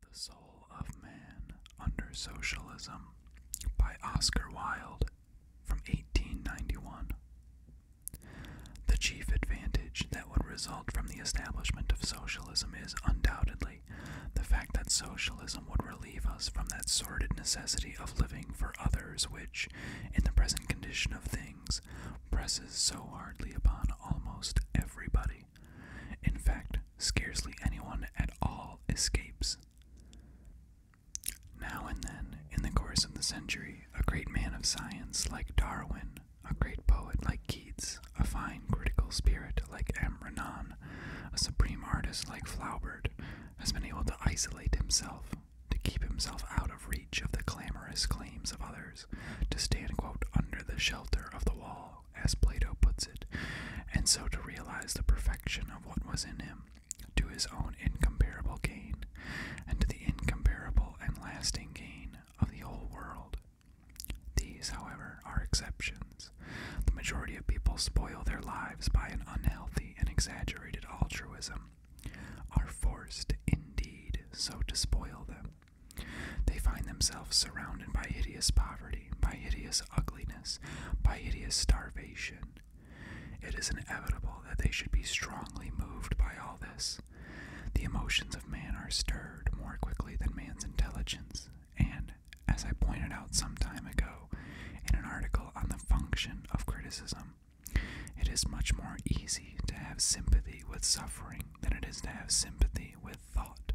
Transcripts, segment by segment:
The Soul of Man Under Socialism by Oscar Wilde from 1891. The chief advantage that would result from the establishment of socialism is undoubtedly the fact that socialism would relieve us from that sordid necessity of living for others which, in the present condition of things, presses so hardly upon almost everybody. In fact, scarcely anyone at all escapes. Now and then, in the course of the century, a great man of science like Darwin, a great poet like Keats, a fine critical spirit like M. Renan, a supreme artist like Flaubert, has been able to isolate himself, to keep himself out of reach of the clamorous claims of others, to stand, under the shelter of the wall as Plato puts it, and so to realize the perfection of what was in him, to his own incomparable gain, and to the incomparable and lasting gain of the whole world. These, however, are exceptions. The majority of people spoil their lives by an unhealthy and exaggerated altruism, are forced, indeed, so to spoil them. They find themselves surrounded by hideous poverty, by hideous ugliness, by hideous starvation. It is inevitable that they should be strongly moved by all this. The emotions of man are stirred more quickly than man's intelligence, and, as I pointed out some time ago in an article on the function of criticism, it is much more easy to have sympathy with suffering than it is to have sympathy with thought.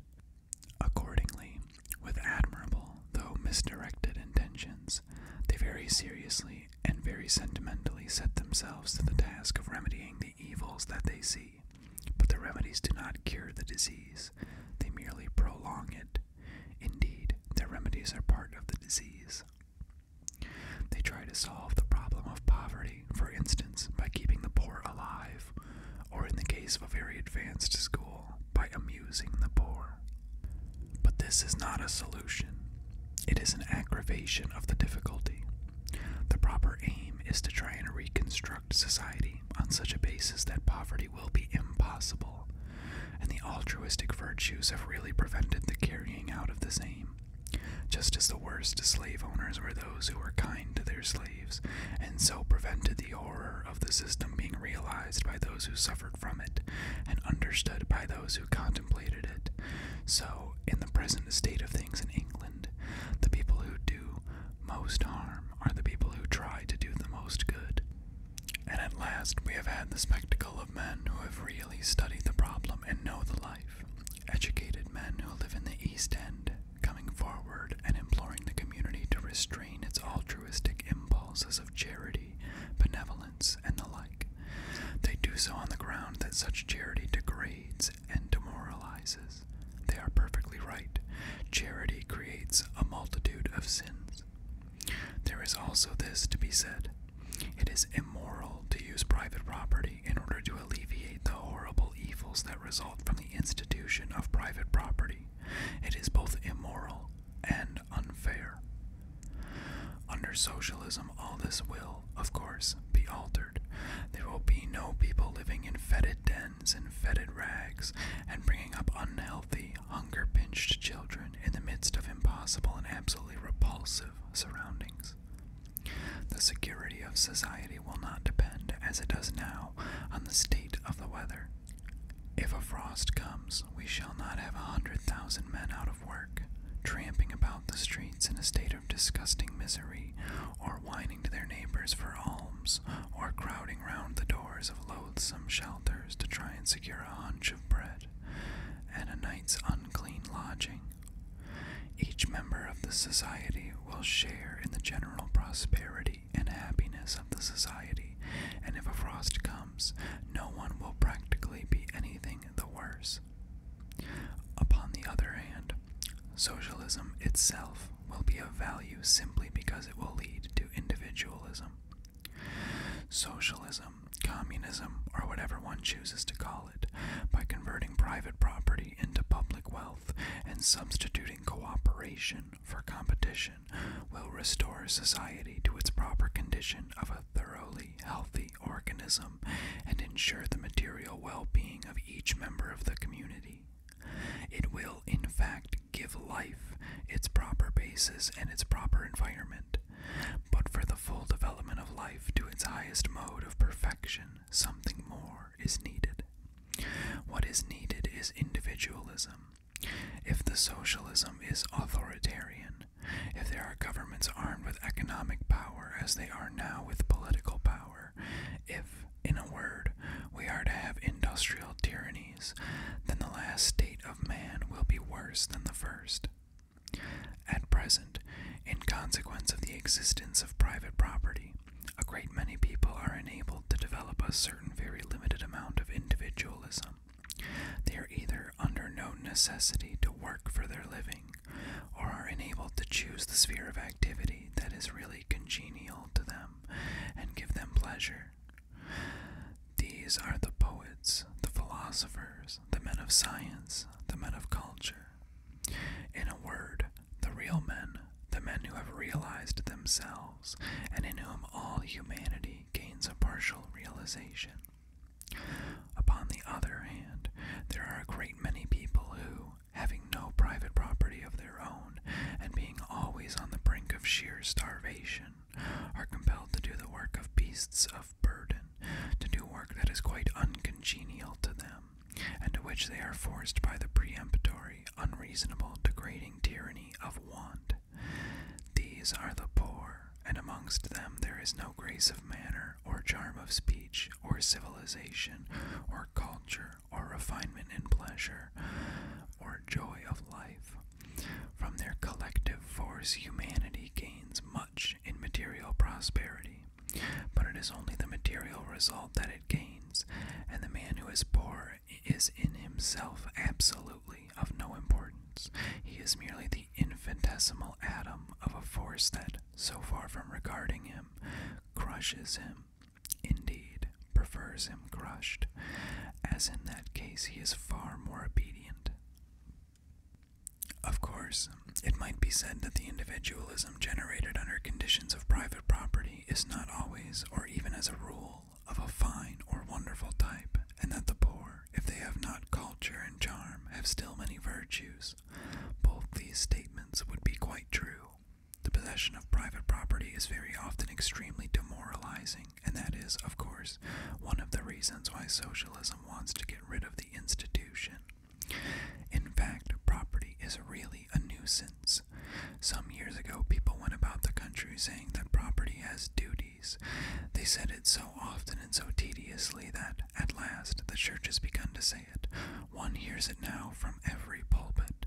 Accordingly, with admirable, though misdirected intentions, they very seriously and very sentimentally set themselves to the task of remedying the evils that they see. But the remedies do not cure the disease, they merely prolong it. Indeed, their remedies are part of the disease. They try to solve the problem of poverty, for instance, by keeping the poor alive, or in the case of a very advanced school, by amusing the poor. But this is not a solution, it is an aggravation of the difficulty. The proper aim is to try and reconstruct society on such a basis that poverty will be impossible, and the altruistic virtues have really prevented the carrying out of this aim. Just as the worst slave owners were those who were kind to their slaves and so prevented the horror of the system being realized by those who suffered from it, and understood by those who contemplated it. So, in the present state of things in England, the people who do most harm are the people who try to do the most good. And at last, we have had the spectacle of men who have really studied the problem and know the life. Educated men who live in the East End coming forward and imploring the community to restrain its altruistic impulses of charity, benevolence, and the like. They do so on the ground that such charity degrades and demoralizes. They are perfectly right. Charity creates a multitude of sins. There is also this to be said it is immoral to use private property in order to alleviate the horrible evils that result from the institution of private property. It is both immoral and unfair. Under socialism, all this will, of course, be altered. There will be no people living in fetid dens and fetid rags and bringing up unhealthy, hunger pinched children in the midst of impossible and absolutely repulsive surroundings. The security of society will not depend, as it does now, on the state of the weather. If a frost comes, we shall not have a hundred thousand men out of work, tramping about the streets in a state of disgusting misery, or whining to their neighbors for alms, or crowding round the doors of loathsome shelters to try and secure a hunch of bread and a night's unclean lodging. Each member of the society will share in the general prosperity and happiness of the society, and if a frost comes, no one will practically be anything the worse. Upon the other hand, socialism itself will be of value simply because it will lead to individualism. Socialism, communism, or whatever one chooses to call it, by converting private property into public wealth and substituting cooperation for competition will restore society to its proper condition of a thoroughly healthy organism and ensure the material well being of each member of the community. It will, in fact, give life its proper basis and its proper environment. But for the full development of life to its highest mode of perfection, something more is needed. What is needed is individualism. If the socialism is authoritarian, if there are governments armed with economic power as they are now with political power, if, in a word, we are to have industrial tyrannies, then the last state of man will be worse than the first. At present, in consequence of the existence of private property, a great many people are enabled to develop a certain very limited amount of individualism. They are either under no necessity to work for their living, or are enabled to choose the sphere of activity that is really congenial to them and give them pleasure. These are the poets, the philosophers, the men of science, the men of culture. In a word, the real men, the men who have realized themselves and in whom all humanity gains a partial realization. Upon the other hand, there are a great many people who, having no private property of their own, and being always on the brink of sheer starvation, are compelled to do the work of beasts of burden, to do work that is quite uncongenial to them, and to which they are forced by the peremptory unreasonable, degrading tyranny of want. These are the poor, and amongst them there is no grace of manner, or charm of speech, or civilization, or culture, or refinement in pleasure, or joy of life. From their collective force, humanity gains much in material prosperity, but it is only the material result that it gains, and the man who is poor or is in himself absolutely of no importance. He is merely the infinitesimal atom of a force that, so far from regarding him, crushes him, indeed, prefers him crushed, as in that case he is far more obedient. Of course, it might be said that the individualism generated under conditions of private property is not always, or even as a rule, of a fine or wonderful type, and that the poor, if they have not culture and charm, have still many virtues. Both these statements would be quite true. The possession of private property is very often extremely demoralizing, and that is, of course, one of the reasons why socialism wants to get rid of the institution. In fact, property is really a nuisance. Some years ago, people went about the country saying that property has duties. They said it so often and so tediously that, at last, the church has begun to say it. One hears it now from every pulpit.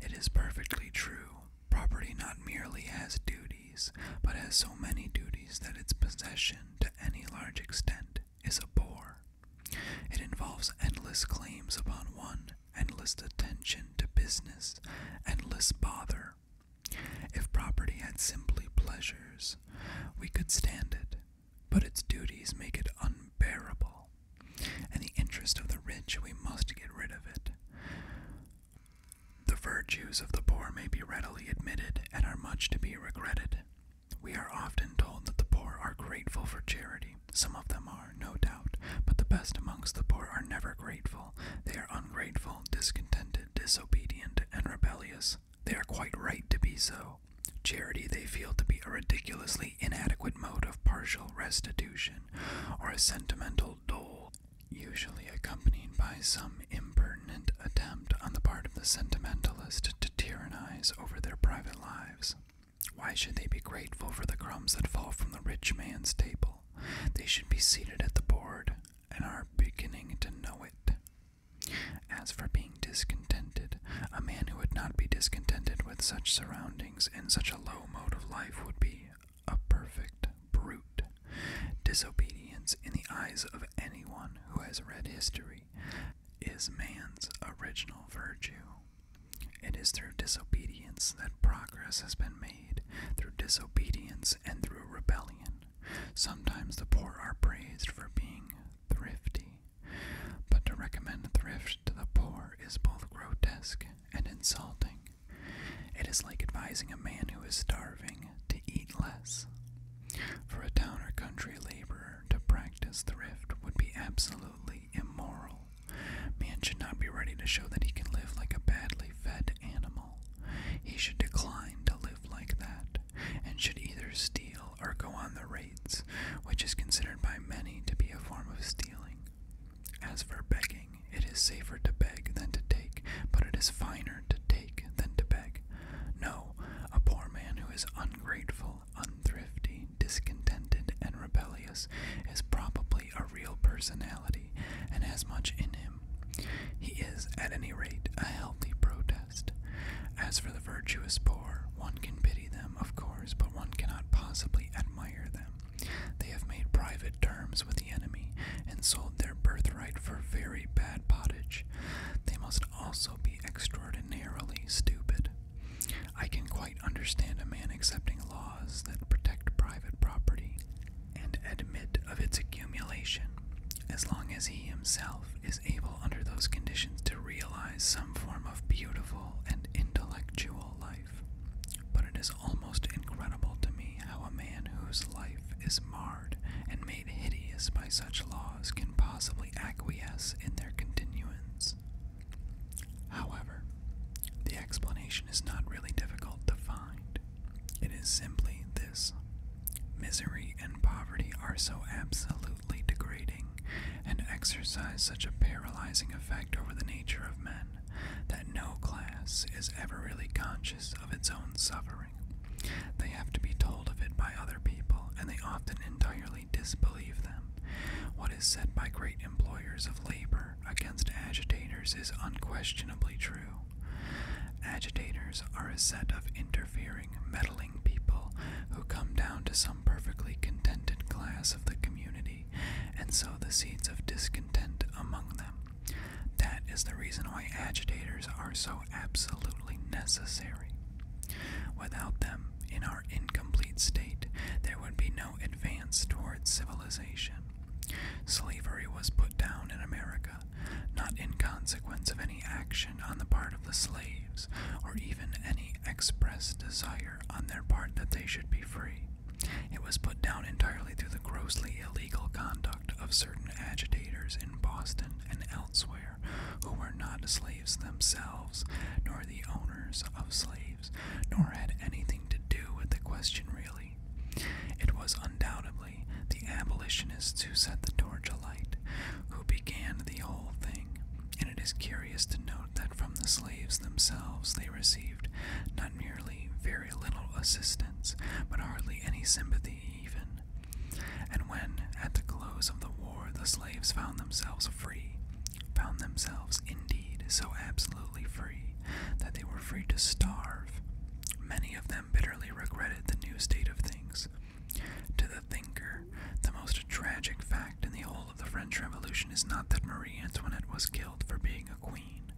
It is perfectly true. Property not merely has duties, but has so many duties that its possession, to any large extent, is a bore. It involves endless claims upon one Endless attention to business endless bother. If property had simply pleasures, we could stand it, but its duties make it unbearable. In the interest of the rich, we must get rid of it. The virtues of the poor may be readily admitted and are much to be regretted. We are often told that the poor are grateful for charity. Some of them are, no doubt, but the best amongst the poor are never grateful. They are ungrateful, discontented, disobedient, and rebellious. They are quite right to be so. Charity they feel to be a ridiculously inadequate mode of partial restitution, or a sentimental dole, usually accompanied by some impertinent attempt on the part of the sentimentalist to tyrannize over their private lives. Why should they be grateful for the crumbs that fall from the rich man's table? They should be seated at the board and are beginning to know it. As for being discontented, a man who would not be discontented with such surroundings and such a low mode of life would be a perfect brute. Disobedience, in the eyes of anyone who has read history, is man's original virtue. It is through disobedience that progress has been made, through disobedience and through rebellion. Sometimes the poor are praised for being thrifty, but to recommend thrift to the poor is both grotesque and insulting. It is like advising a man who is starving to eat less. For a town or country laborer to practice thrift would be absolutely immoral. Man should not be ready to show that he can live like a badly fed animal. He should decline to live like that, and should either steal or go on the rates, which is considered by many to be a form of stealing. As for begging, it is safer to beg than to take, but it is finer to take than to beg. No, a poor man who is ungrateful, unthrifty, discontented, and rebellious is probably a real personality and has much in him. He is, at any rate, a healthy protest. As for the virtuous poor, one can pity them, of course, but one cannot possibly admire them. They have made private terms with the enemy and sold their birthright for very bad pottage. They must also be extraordinarily stupid. I can quite understand a man accepting a law that protect private property and admit of its accumulation, as long as he himself is able under those conditions to realize some form of beautiful and intellectual life. But it is almost incredible to me how a man whose life is marred and made hideous by such laws can possibly acquiesce in their continuance. However, the explanation is not really difficult to find. It is simply this misery and poverty are so absolutely degrading and exercise such a paralyzing effect over the nature of men that no class is ever really conscious of its own suffering. They have to be told of it by other people, and they often entirely disbelieve them. What is said by great employers of labor against agitators is unquestionably true. Agitators are a set of interfering, meddling people who come down to some perfectly contented class of the community and sow the seeds of discontent among them. That is the reason why agitators are so absolutely necessary. Without them, in our incomplete state, there would be no advance towards civilization. Slavery was put down in America, not in consequence of any action on the part of the slaves, or even any express desire on their part that they should be free. It was put down entirely through the grossly illegal conduct of certain agitators in Boston and elsewhere who were not slaves themselves, nor the owners of slaves, nor had anything to do with the question really it was undoubtedly the abolitionists who set the torch alight, who began the whole thing, and it is curious to note that from the slaves themselves they received not merely very little assistance, but hardly any sympathy even. And when, at the close of the war, the slaves found themselves free, found themselves indeed so absolutely free that they were free to starve. Many of them bitterly regretted the new state of things. To the thinker, the most tragic fact in the whole of the French Revolution is not that Marie Antoinette was killed for being a queen,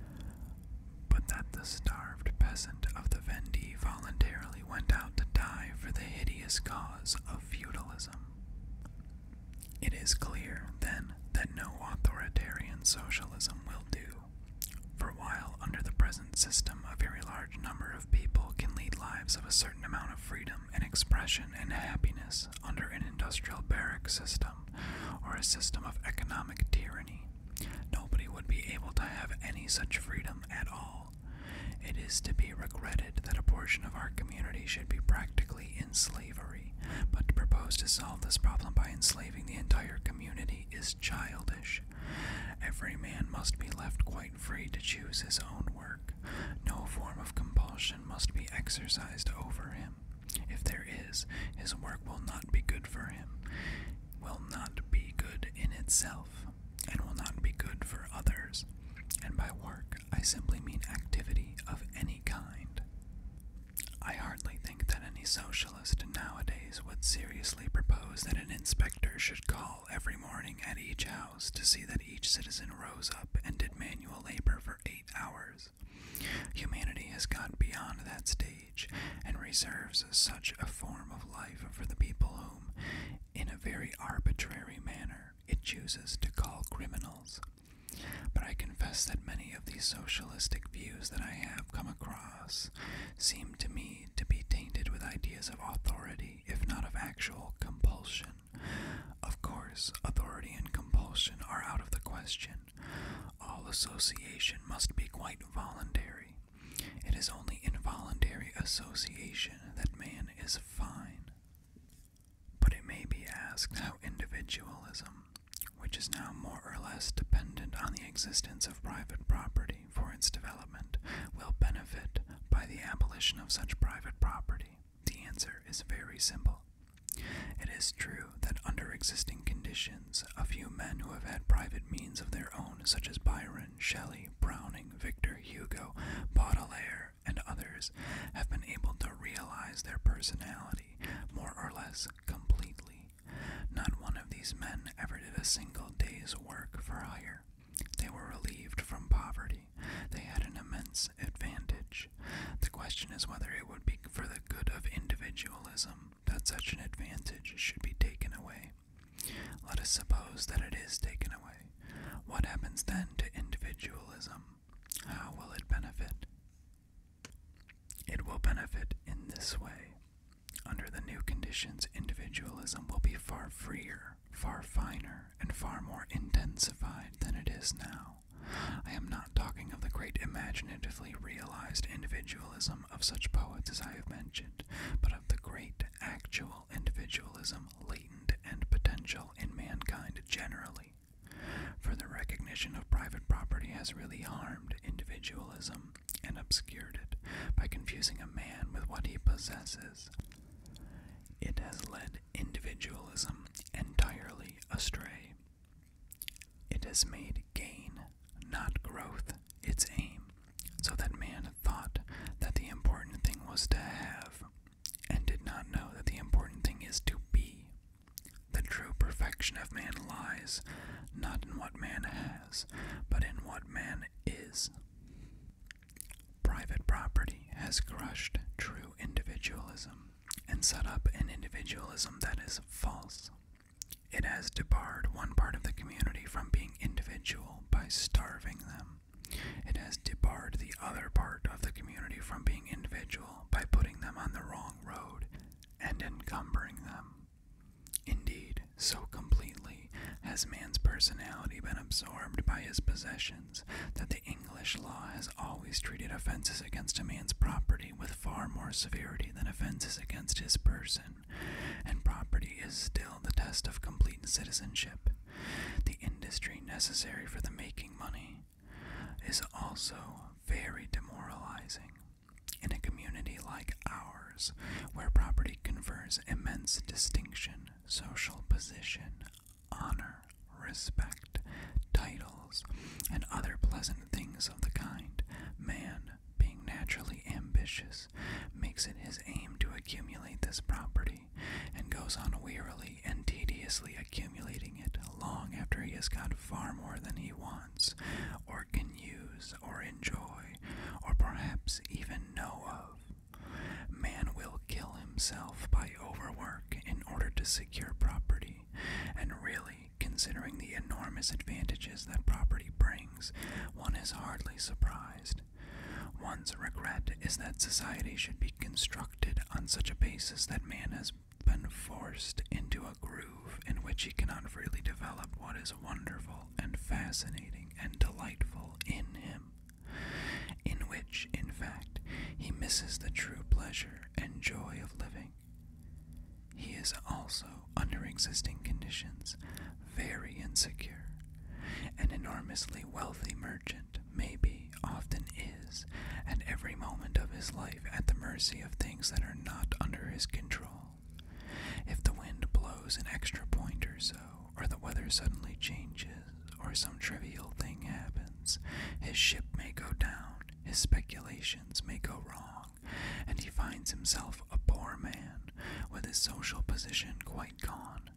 but that the starved peasant of the Vendée voluntarily went out to die for the hideous cause of feudalism. It is clear, then, that no authoritarian socialism will do. For while, under the present system, a very large number of people can lead lives of a certain amount of freedom and expression and happiness under an industrial barrack system or a system of economic tyranny, nobody would be able to have any such freedom at all. It is to be regretted that a portion of our community should be practically in slavery, but to propose to solve this problem by enslaving the entire community is childish. Every man must be left quite free to choose his own work. No form of compulsion must be exercised over him. If there is, his work will not be good for him, will not be good in itself, and will not be good for others. And by work, I simply mean activity of any kind. I hardly think that any socialist nowadays would seriously propose that an inspector should call every morning at each house to see that each citizen rose up and did manual labor for eight hours. Humanity has got beyond that stage and reserves such a form of life for the people whom, in a very arbitrary manner, it chooses to call criminals. But I confess that many of these socialistic views that I have come across seem to me to be tainted with ideas of authority, if not of actual compulsion. Of course, authority and compulsion are out of the question. All association must be quite voluntary. It is only involuntary association that man is fine. But it may be asked how individualism, which is now more or less dependent on the existence of private property for its development, will benefit by the abolition of such private property? The answer is very simple. It is true that under existing conditions, a few men who have had private means of their own, such as Byron, Shelley, Browning, Victor Hugo, Baudelaire, and others, have been able to realize their personality more or less completely. Not one of these men ever did a single day's work for hire. They were relieved from poverty. They had an immense advantage. The question is whether it would be for the good of individualism that such an advantage should be taken away. Let us suppose that it is taken away. What happens then to individualism? How will it benefit? It will benefit in this way. Under the new conditions, individualism will be far freer, far finer, and far more intensified than it is now. I am not talking of the great imaginatively realized individualism of such poets as I have mentioned, but of the great actual individualism latent and potential in mankind generally. For the recognition of private property has really harmed individualism and obscured it by confusing a man with what he possesses. It has led individualism entirely astray. It has made gain, not growth, its aim, so that man thought that the important thing was to have, and did not know that the important thing is to be. The true perfection of man lies not in what man has, but in what man is. Private property has crushed true individualism and set up an individualism that is false. It has debarred one part of the community from being individual by starving them. It has debarred the other part of the community from being individual by putting them on the wrong road and encumbering them. Indeed, so completely has man's personality been absorbed by his possessions that the English law has always treated offenses against a man's property with far more severity than offenses against his person, and property is still the test of complete citizenship. The industry necessary for the making money is also very demoralizing. In a community like ours, where property confers immense distinction, social position, honor, respect, titles, and other pleasant things of the kind, man, being naturally ambitious, makes it his aim to accumulate this property, and goes on wearily and tediously accumulating it long after he has got far more than he wants or can use, or enjoy, or perhaps even know of. Man will kill himself by overwork in order to secure property, and really, considering the enormous advantages that property brings, one is hardly surprised. One's regret is that society should be constructed on such a basis that man is been forced into a groove in which he cannot freely develop what is wonderful and fascinating and delightful in him, in which, in fact, he misses the true pleasure and joy of living. He is also, under existing conditions, very insecure. An enormously wealthy merchant may be, often is, at every moment of his life at the mercy of things that are not under his control. If the wind blows an extra point or so, or the weather suddenly changes, or some trivial thing happens, his ship may go down, his speculations may go wrong, and he finds himself a poor man, with his social position quite gone.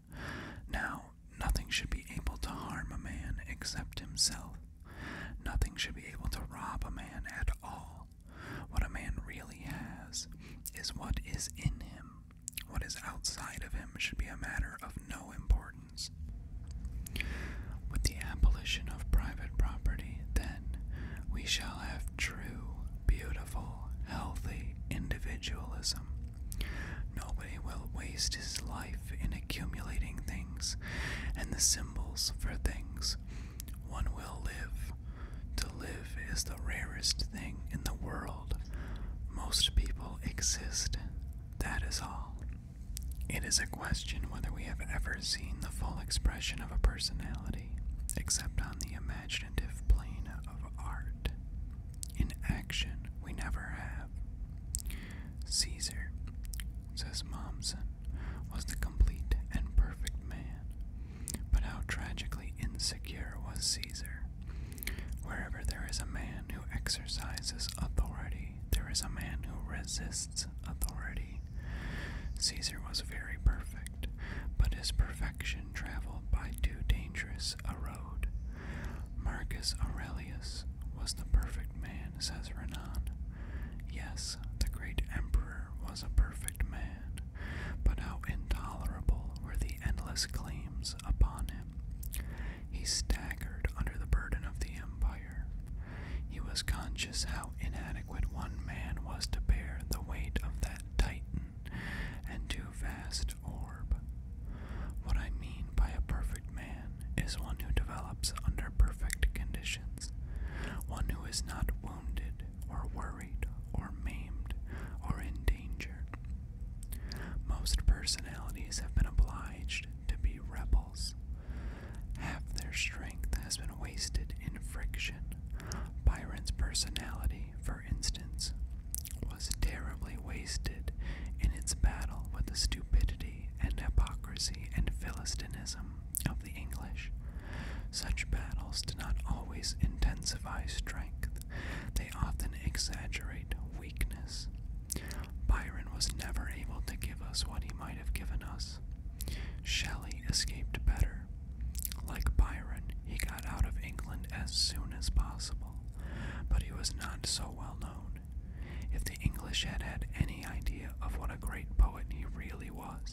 Now, nothing should be able to harm a man except himself. Nothing should be able to rob a man at all, what a man really has is what is in him. What is outside of him should be a matter of no importance. With the abolition of private property, then, we shall have true, beautiful, healthy individualism. Nobody will waste his life in accumulating things and the symbols for things one will live. To live is the rarest thing in the world. Most people exist. That is all. It is a question whether we have ever seen the full expression of a personality, except on the imaginative plane of art. In action, we never have. Caesar, says Mommsen, was the complete and perfect man. But how tragically insecure was Caesar. Wherever there is a man who exercises authority, there is a man who resists authority. Caesar was very perfect, but his perfection traveled by too dangerous a road. Marcus Aurelius was the perfect man, says Renan. Yes, the great emperor was a perfect man, but how intolerable were the endless claims upon him. He staggered under the burden of the empire. He was conscious how inadequate one man was to bear the weight of that titan and too vast orb. What I mean by a perfect man is one who develops under perfect conditions, one who is not wounded, or worried, or maimed, or in danger. Most personalities have been obliged to be rebels. Half their strength has been wasted in friction. Byron's personality, for instance, was terribly wasted in its battle with the stupidity and hypocrisy and philistinism of the English. Such battles do not always intensify strength, they often exaggerate weakness. Byron was never able to give us what he might have given us. Shelley escaped better. Like Byron, he got out of England as soon as possible, but he was not so well known. If the English had had any idea of what a great poet he really was,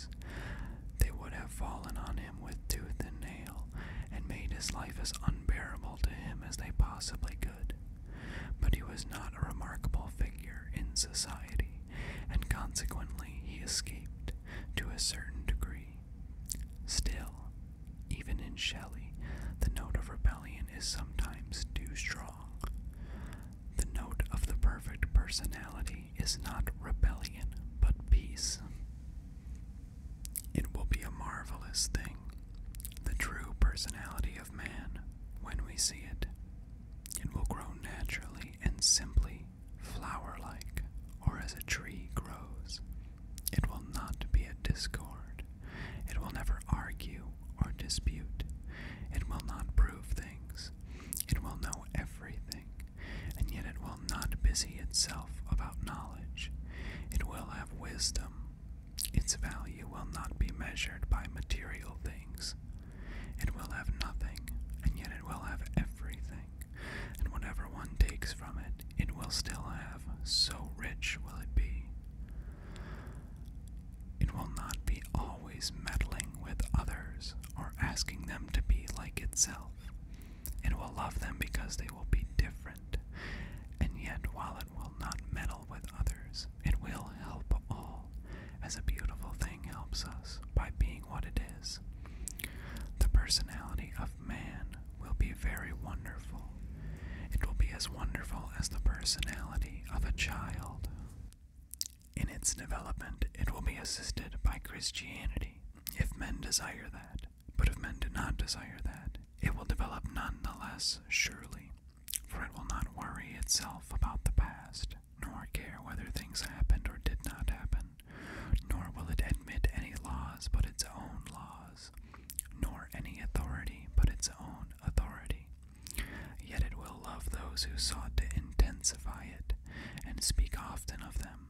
they would have fallen on him with tooth and nail, and made his life as unbearable to him as they possibly could. But he was not a remarkable figure in society, and consequently he escaped to a certain degree. Still, even in Shelley, the note of rebellion is sometimes too strong. The note of the perfect personality is not rebellion, but peace. It will be a marvelous thing, the true personality of man, when we see it. It will grow naturally and simply, flower like, or as a tree grows. It will not be a discord. It will never argue or dispute. It will not prove things. It will know everything and yet it will not busy itself about knowledge. It will have wisdom. Its value will not be measured by material things. It will have nothing, and yet it will have everything, and whatever one takes from it, it will still have, so rich will it be. It will not be always meddling with others, or asking them to be like itself. It will love them because they will be different, and yet while it will not meddle with others, it will help all, as a beautiful thing helps us by being what it is. The personality of man will be very wonderful. It will be as wonderful as the personality of a child. In its development, it will be assisted by Christianity, if men desire that. But if men do not desire that, it will develop nonetheless, surely, for it will not worry itself about the past, nor care whether things happened or did not happen, nor will it admit any laws but its own laws, nor any authority but its own authority. Yet it will love those who sought to intensify it, and speak often of them.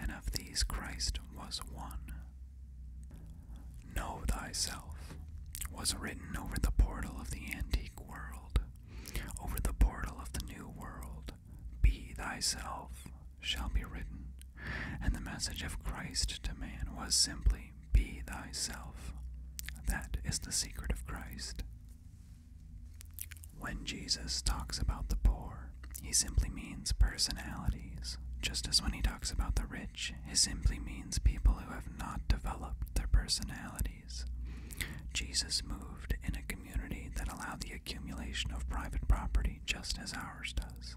And of these Christ was one. Know thyself was written over the portal of the antique world, over the portal of the new world. Be thyself shall be written. And the message of Christ to man was simply, Be thyself. That is the secret of Christ. When Jesus talks about the poor, he simply means personalities, just as when he talks about the rich, he simply means people who have not developed their personalities. Jesus moved in a community that allowed the accumulation of private property just as ours does,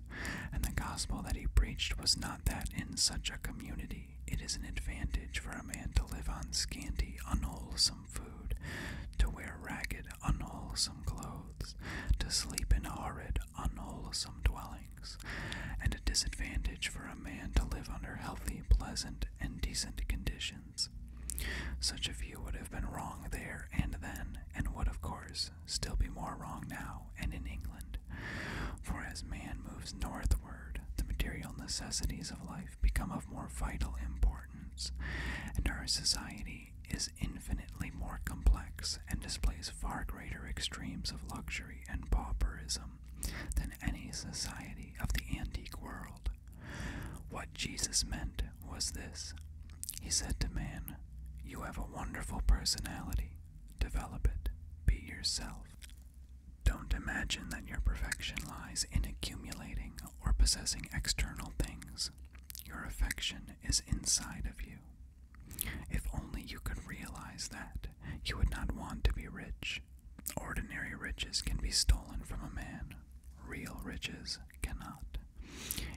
and the gospel that he preached was not that in such a community it is an advantage for a man to live on scanty, unwholesome food, to wear ragged, unwholesome clothes, to sleep in horrid, unwholesome dwellings, and a disadvantage for a man to live under healthy, pleasant, and decent conditions. Such a view would have been wrong there and then, and would, of course, still be more wrong now and in England. For as man moves northward, the material necessities of life become of more vital importance, and our society is infinitely more complex and displays far greater extremes of luxury and pauperism than any society of the antique world. What Jesus meant was this He said to man, You have a wonderful personality, develop it, be yourself. Don't imagine that your perfection lies in accumulating or possessing external things. Your affection is inside of you. If only you could realize that, you would not want to be rich. Ordinary riches can be stolen from a man, real riches cannot.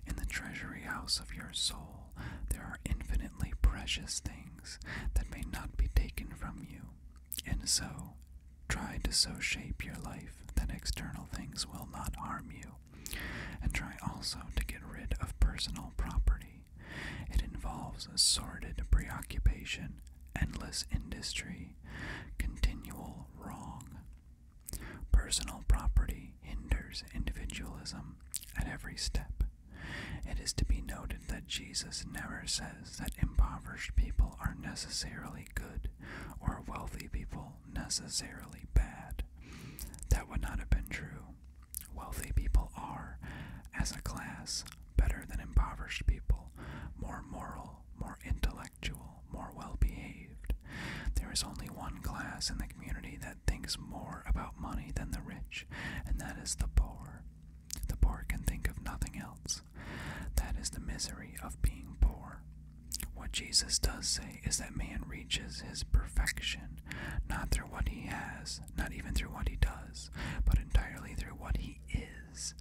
In the treasury house of your soul, there are infinitely precious things that may not be taken from you, and so Try to so shape your life that external things will not harm you, and try also to get rid of personal property. It involves sordid preoccupation, endless industry, continual wrong. Personal property hinders individualism at every step. It is to be noted that Jesus never says that impoverished people are necessarily good or wealthy people necessarily bad. That would not have been true. Wealthy people are, as a class, better than impoverished people, more moral, more intellectual, more well behaved. There is only one class in the community that thinks more about money than the rich, and that is the poor. The poor can think of nothing else. That is the misery of being poor. What Jesus does say is that man reaches his perfection not through what he has, not even through what he does, but entirely through what he is.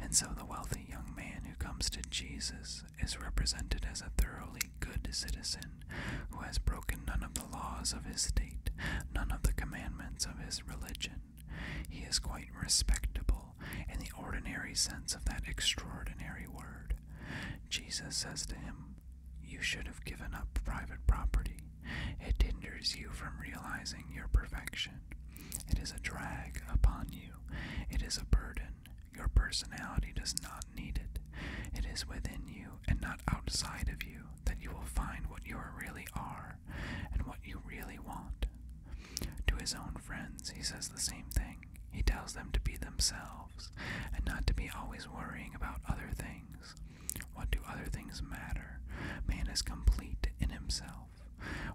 And so the wealthy young man who comes to Jesus is represented as a thoroughly good citizen who has broken none of the laws of his state, none of the commandments of his religion. He is quite respectable in the ordinary sense of that extraordinary word. Jesus says to him, You should have given up private property. It hinders you from realizing your perfection. It is a drag upon you. It is a burden. Your personality does not need it. It is within you and not outside of you that you will find what you really are and what you really want. To his own friends, he says the same thing. He tells them to be themselves and not to be always worrying about other things. What do other things matter? Man is complete in himself.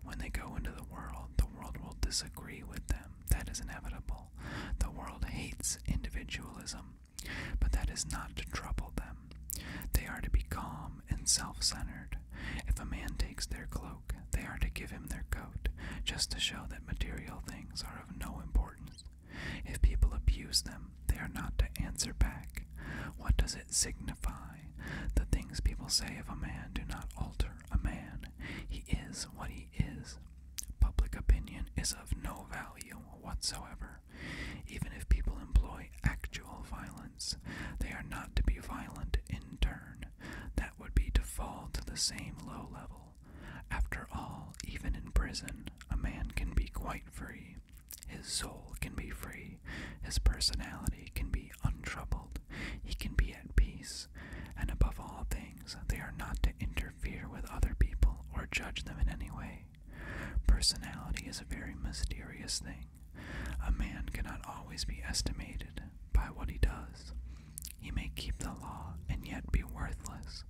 When they go into the world, the world will disagree with them. That is inevitable. The world hates individualism, but that is not to trouble them. They are to be calm and self centered. If a man takes their clothes, they are to give him their coat, just to show that material things are of no importance. If people abuse them, they are not to answer back. What does it signify? The things people say of a man do not alter a man. He is what he is. Public opinion is of no value whatsoever. Even if people employ actual violence, they are not to be violent in turn that would be to fall to the same low level. After all, even in prison, a man can be quite free. His soul can be free, his personality can be untroubled, he can be at peace, and above all things, they are not to interfere with other people or judge them in any way. Personality is a very mysterious thing. A man cannot always be estimated by what he does. He may keep the law and yet be worthless.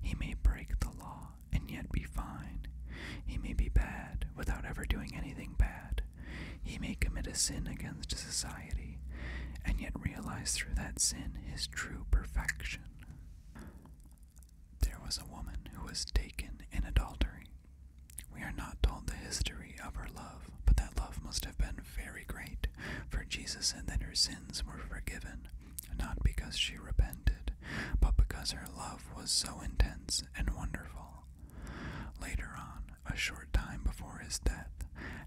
He may break the law and yet be fine. He may be bad without ever doing anything bad. He may commit a sin against society and yet realize through that sin his true perfection. There was a woman who was taken in adultery. We are not told the history of her love, but that love must have been very great, for Jesus said that her sins were forgiven, not because she repented, but because her love was so intense and wonderful. Later on, a short time before his death,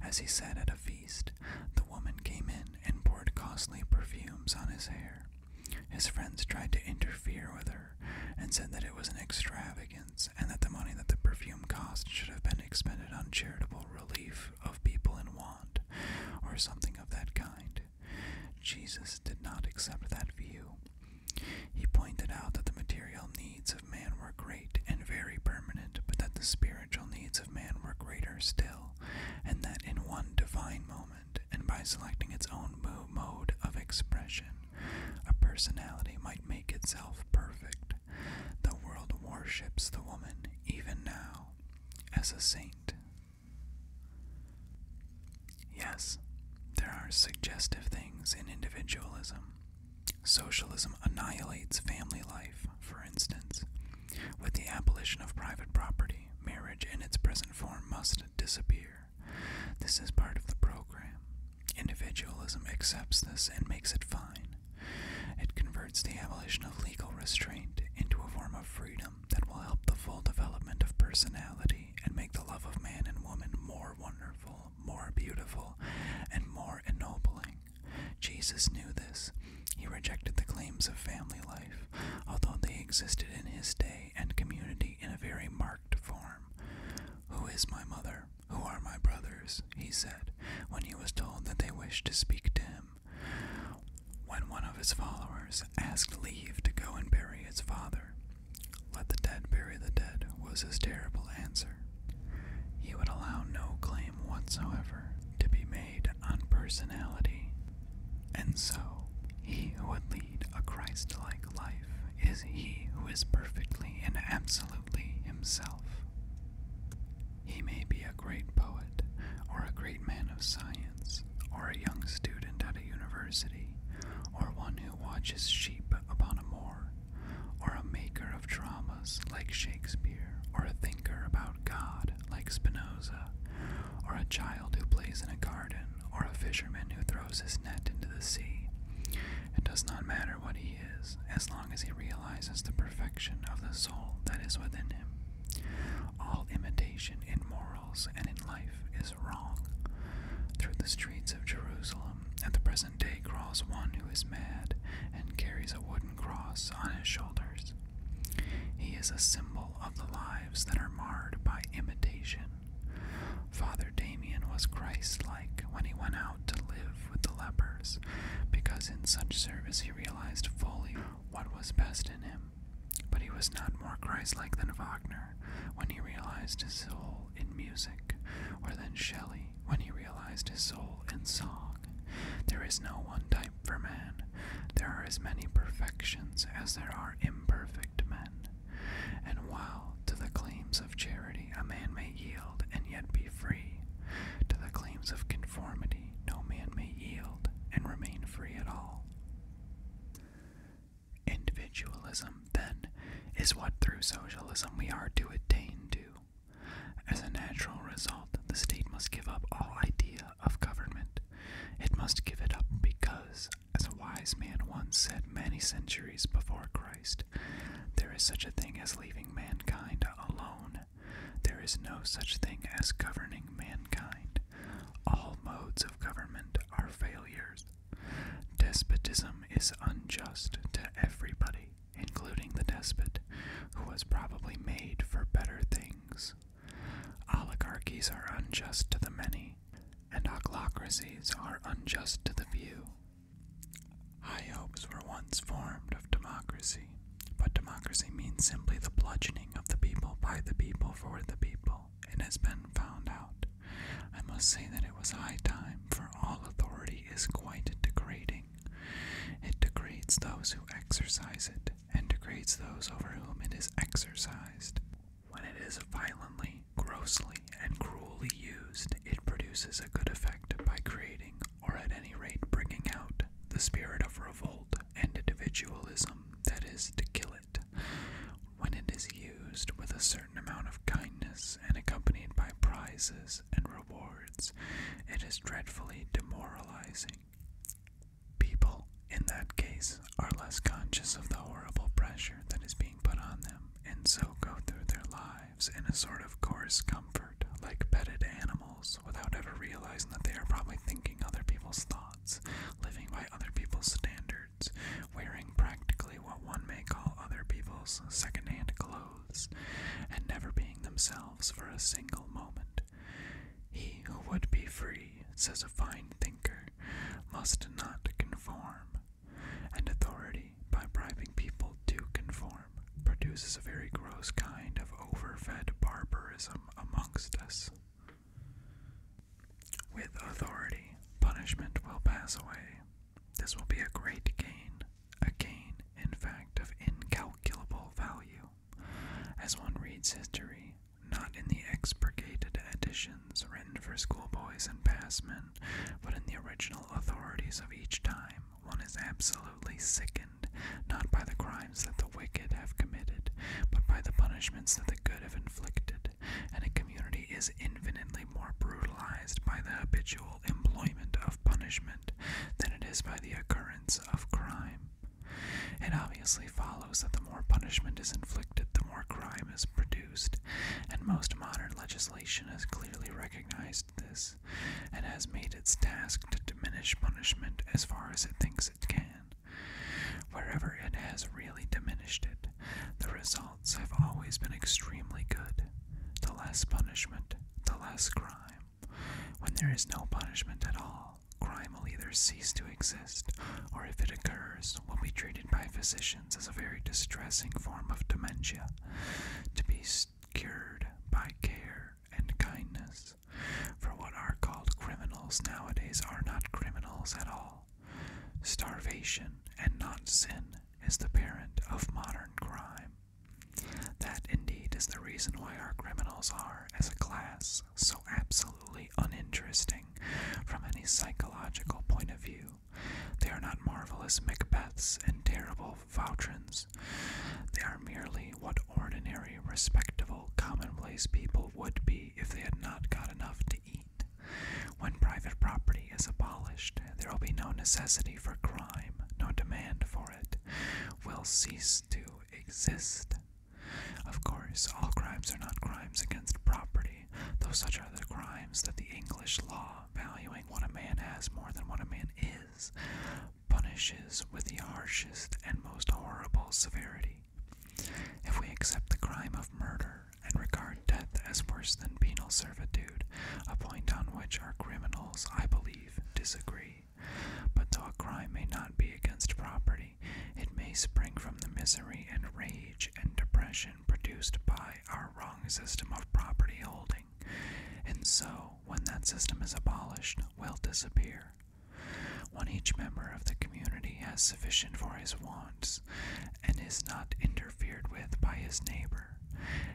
as he sat at a feast, the woman came in and poured costly perfumes on his hair. His friends tried to interfere with her and said that it was an extravagance and that the money that the perfume cost should have been expended on charitable relief of people in want, or something of that kind. Jesus did not accept that view. He pointed out that the material needs of man were great and very permanent, but that the spiritual needs of man were greater still, and that in one divine moment, and by selecting its own mode of expression, a personality might make itself perfect, the world worships the woman, even now, as a saint. Yes, there are suggestive things in individualism. Socialism annihilates family life, for instance. With the abolition of private property, marriage in its present form must disappear. This is part of the program. Individualism accepts this and makes it fine. It converts the abolition of legal restraint into a form of freedom that will help the full development of personality and make the love of man and woman more wonderful, more beautiful, and more ennobling. Jesus knew this. He rejected the claims of family life, although they existed in his day and community in a very marked form. Who is my mother? Who are my brothers? he said, when he was told that they wished to speak to him. When one of his followers asked leave to go and bury his father, let the dead bury the dead was his terrible answer. He would allow no claim whatsoever to be made on personality. And so, he who would lead a Christ like life is he who is perfectly and absolutely himself. He may be a great poet, or a great man of science, or a young student at a university, or one who watches sheep upon a moor, or a maker of dramas like Shakespeare, or a thinker about God like Spinoza, or a child who plays in a garden, or a fisherman who throws his net into the sea. It does not matter what he is, as long as he realizes the perfection of the soul that is within him. All imitation in morals and in life is wrong. Through the streets of Jerusalem at the present day crawls one who is mad and carries a wooden cross on his shoulders. He is a symbol of the lives that are marred by imitation. Father Damien was Christ like when he went out to live with the lepers, because in such service he realized fully what was best in him. But he was not more Christ like than Wagner when he realized his soul in music, or than Shelley when he realized his soul in song. There is no one type for man, there are as many perfections as there are imperfect men. And while to the claims of charity a man may yield and yet be free, to the claims of conformity, no man may yield and remain free at all. Individualism, then, is what through socialism we are to attain to. As a natural result, the state must give up all idea of government. It must give it up because, as a wise man once said many centuries before Christ, there is such a thing as leaving mankind alone there is no such thing as governing mankind. All modes of government are failures. Despotism is unjust to everybody, including the despot, who was probably made for better things. Oligarchies are unjust to the many, and ochlocracies are unjust to the few. High hopes were once formed of democracy, but democracy means simply the bludgeoning of the people by the people for the people. It has been found out. I must say that it was high time, for all authority is quite degrading. It degrades those who exercise it, and degrades those over whom it is exercised. When it is violently, grossly, and cruelly used, it produces a good effect by creating or at any rate bringing out, the spirit of revolt and individualism that is to kill it. When it is used with a certain amount of kindness and accompanied by prizes and rewards, it is dreadfully demoralizing. People, in that case, are less conscious of the horrible pressure that is being put on them and so go through their lives lives in a sort of coarse comfort, like petted animals, without ever realizing that they are probably thinking other people's thoughts, living by other people's standards, wearing practically what one may call other people's secondhand clothes, and never being themselves for a single moment. He who would be free, says a fine thinker, must not conform, and authority, by bribing people to conform, produces a very gross kind of overfed barbarism amongst us. With authority, punishment will pass away. This will be a great gain, a gain, in fact, of incalculable value. As one reads history, not in the expurgated editions written for schoolboys and passmen, but in the original authorities of each time, one is absolutely sickened not by the crimes that the wicked have committed, but by the punishments that the good have inflicted, and a community is infinitely more brutalized by the habitual employment of punishment than it is by the occurrence of crime. It obviously follows that the more punishment is inflicted, the more crime is produced, and most modern legislation is clearly recognized this and has made its task to diminish punishment as far as it thinks it can. Wherever it has really diminished it, the results have always been extremely good. The less punishment, the less crime. When there is no punishment at all, crime will either cease to exist or, if it occurs, will be treated by physicians as a very distressing form of dementia to be cured by care and kindness, for what are called criminals nowadays are not criminals at all. Starvation and not sin is the parent of modern crime. That indeed is the reason why our criminals are, as a class, so absolutely uninteresting from any psychological point of view. They are not marvelous Macbeths and terrible Vautrans they are merely what ordinary, respectable, commonplace people would be if they had not got enough to eat. When private property is abolished, there will be no necessity for crime, no demand for it, will cease to exist. Of course, all crimes are not crimes against property, though such are the crimes that the English law valuing what a man has more than what a man is punishes with the harshest and most horrible severity. If we accept the crime of murder and regard death as worse than penal servitude, a point on which our criminals, I believe, disagree. But though a crime may not be against property, it may spring from the misery and rage and depression produced by our wrong system of property holding. And so, when that system is abolished, will disappear. When each member of the community has sufficient for his wants and is not interfered with by his neighbor,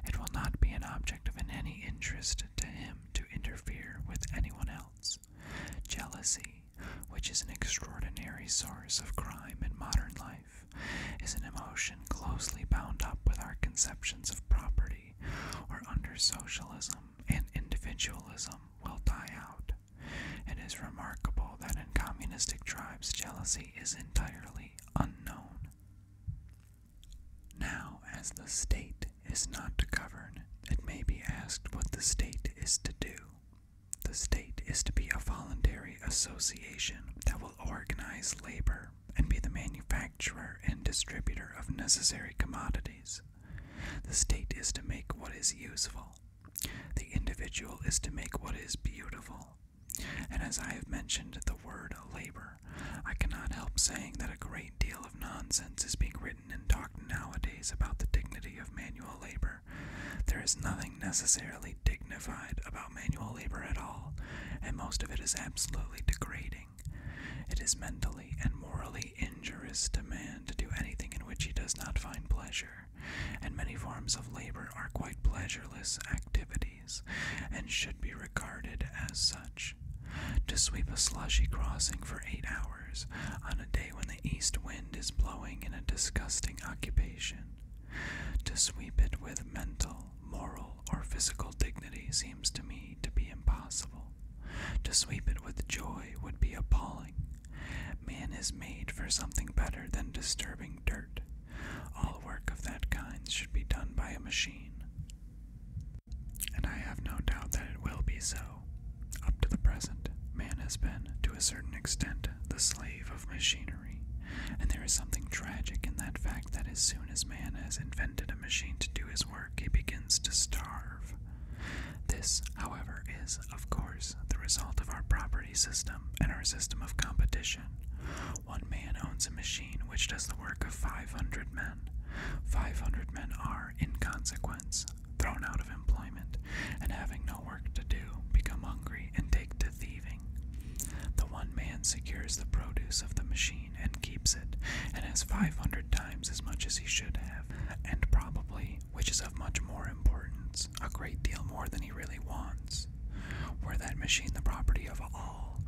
it will not be an object of any interest to him to interfere with anyone else. Jealousy, which is an extraordinary source of crime in modern life, is an emotion closely bound up with our conceptions of property, or under socialism, um, and individualism will die out. It is remarkable that in communistic tribes, jealousy is entirely unknown. Now, as the state is not to govern, it may be asked what the state is to do. The state is to be a voluntary association that will organize labor and be the manufacturer and distributor of necessary commodities. The state is to make what is useful. The individual is to make what is beautiful. And as I have mentioned the word labor, I cannot help saying that a great deal of nonsense is being written and talked nowadays about the dignity of manual labor. There is nothing necessarily dignified about manual labor at all, and most of it is absolutely degrading. It is mentally and morally injurious to man to do anything in which he does not find pleasure, and many forms of labor are quite pleasureless activities, and should be regarded as such. To sweep a slushy crossing for eight hours on a day when the east wind is blowing in a disgusting occupation. To sweep it with mental, moral, or physical dignity seems to me to be impossible. To sweep it with joy would be appalling. Man is made for something better than disturbing dirt. All work of that kind should be done by a machine. And I have no doubt that it will be so. Up to the present, man has been, to a certain extent, the slave of machinery, and there is something tragic in that fact that as soon as man has invented a machine to do his work, he begins to starve. This, however, is, of course, the result of our property system and our system of competition. One man owns a machine which does the work of 500 men. 500 men are, in consequence, thrown out of employment, and having no work to do, become hungry and take to thieving. The one man secures the produce of the machine and keeps it, and has 500 times as much as he should have, and probably, which is of much more importance, a great deal more than he really wants. Were that machine the property of all,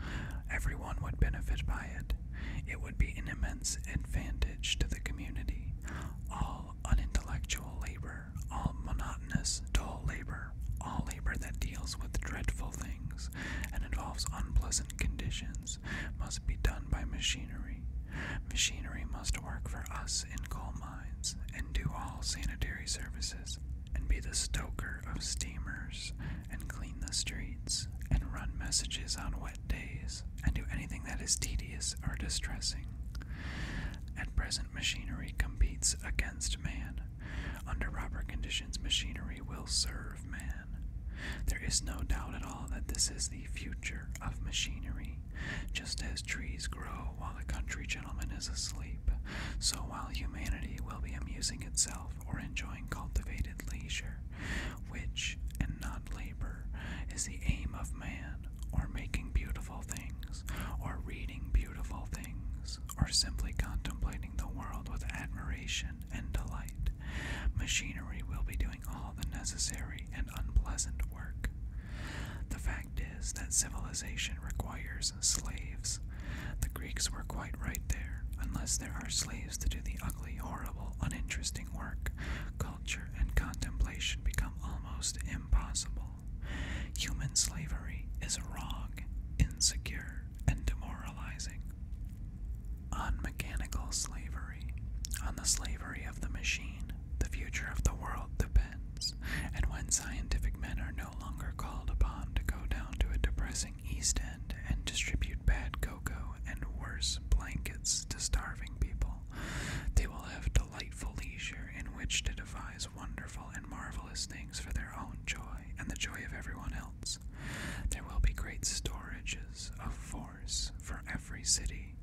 everyone would benefit by it. It would be an immense advantage to the community. All unintellectual labor, all monotonous, dull labor, all labor that deals with dreadful things and involves unpleasant conditions must be done by machinery. Machinery must work for us in coal mines and do all sanitary services and be the stoker of steamers and clean the streets and run messages on wet days and do anything that is tedious or distressing. At present, machinery competes against man. Under proper conditions, machinery will serve man. There is no doubt at all that this is the future of machinery. Just as trees grow while the country gentleman is asleep, so while humanity will be amusing itself or enjoying cultivated leisure, which, and not labor, is the aim of man, or making beautiful things, or reading beautiful things, or simply contemplating the world with admiration and delight, machinery will be doing all the necessary and unpleasant work. The fact is that civilization requires slaves. The Greeks were quite right there. Unless there are slaves to do the ugly, horrible, uninteresting work, culture and contemplation become almost impossible. Human slavery is wrong, insecure, and demoralizing on mechanical slavery, on the slavery of the machine, the future of the world depends, and when scientific men are no longer called upon to go down to a depressing East End and distribute bad cocoa and worse blankets to starving people, they will have delightful leisure in which to devise wonderful and marvelous things for their own joy and the joy of everyone else. There will be great storages of food for every city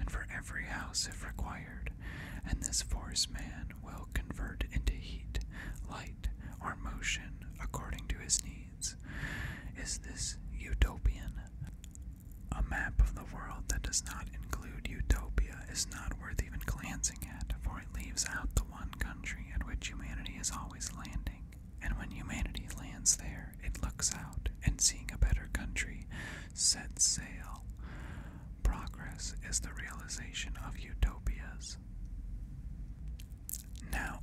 and for every house if required, and this force man will convert into heat, light, or motion according to his needs. Is this utopian? A map of the world that does not include utopia is not worth even glancing at, for it leaves out the one country at which humanity is always landing and when humanity lands there, it looks out and seeing a better country sets sail. Progress is the realization of utopias. Now,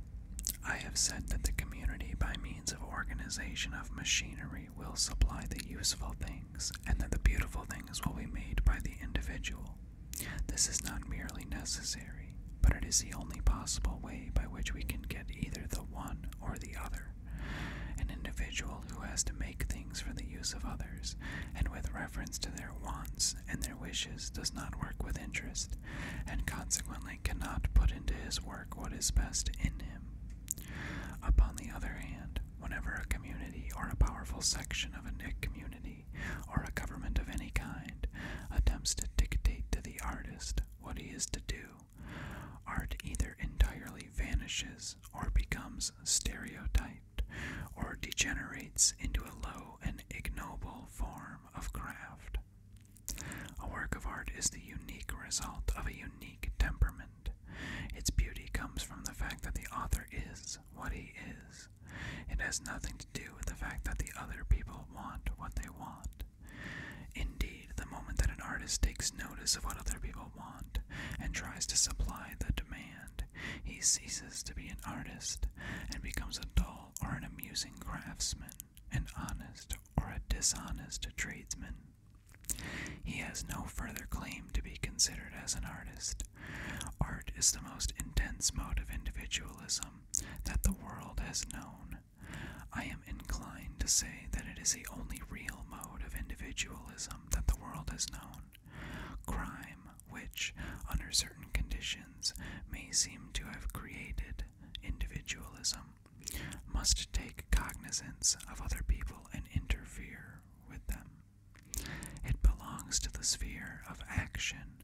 I have said that the community, by means of organization of machinery, will supply the useful things, and that the beautiful things will be made by the individual. This is not merely necessary, but it is the only possible way by which we can get either the one or the other. An individual who has to make things for the use of others, and with reference to their wants and their wishes, does not work with interest, and consequently cannot put into his work what is best in him. Upon the other hand, whenever a community or a powerful section of a community or a government of any kind attempts to dictate to the artist what he is to do art either entirely vanishes or becomes stereotyped or degenerates into a low and ignoble form of craft. A work of art is the unique result of a unique temperament. Its beauty comes from the fact that the author is what he is. It has nothing to do with the fact that the other people want what they want. Indeed, the moment that an artist takes notice of what other people want and tries to supply the demand, he ceases to be an artist and becomes a dull or an amusing craftsman, an honest or a dishonest tradesman. He has no further claim to be considered as an artist. Art is the most intense mode of individualism that the world has known, I am inclined to say that it is the only real mode of individualism that the world has known. Crime, which, under certain conditions, may seem to have created individualism, must take cognizance of other people and interfere with them. It belongs to the sphere of action,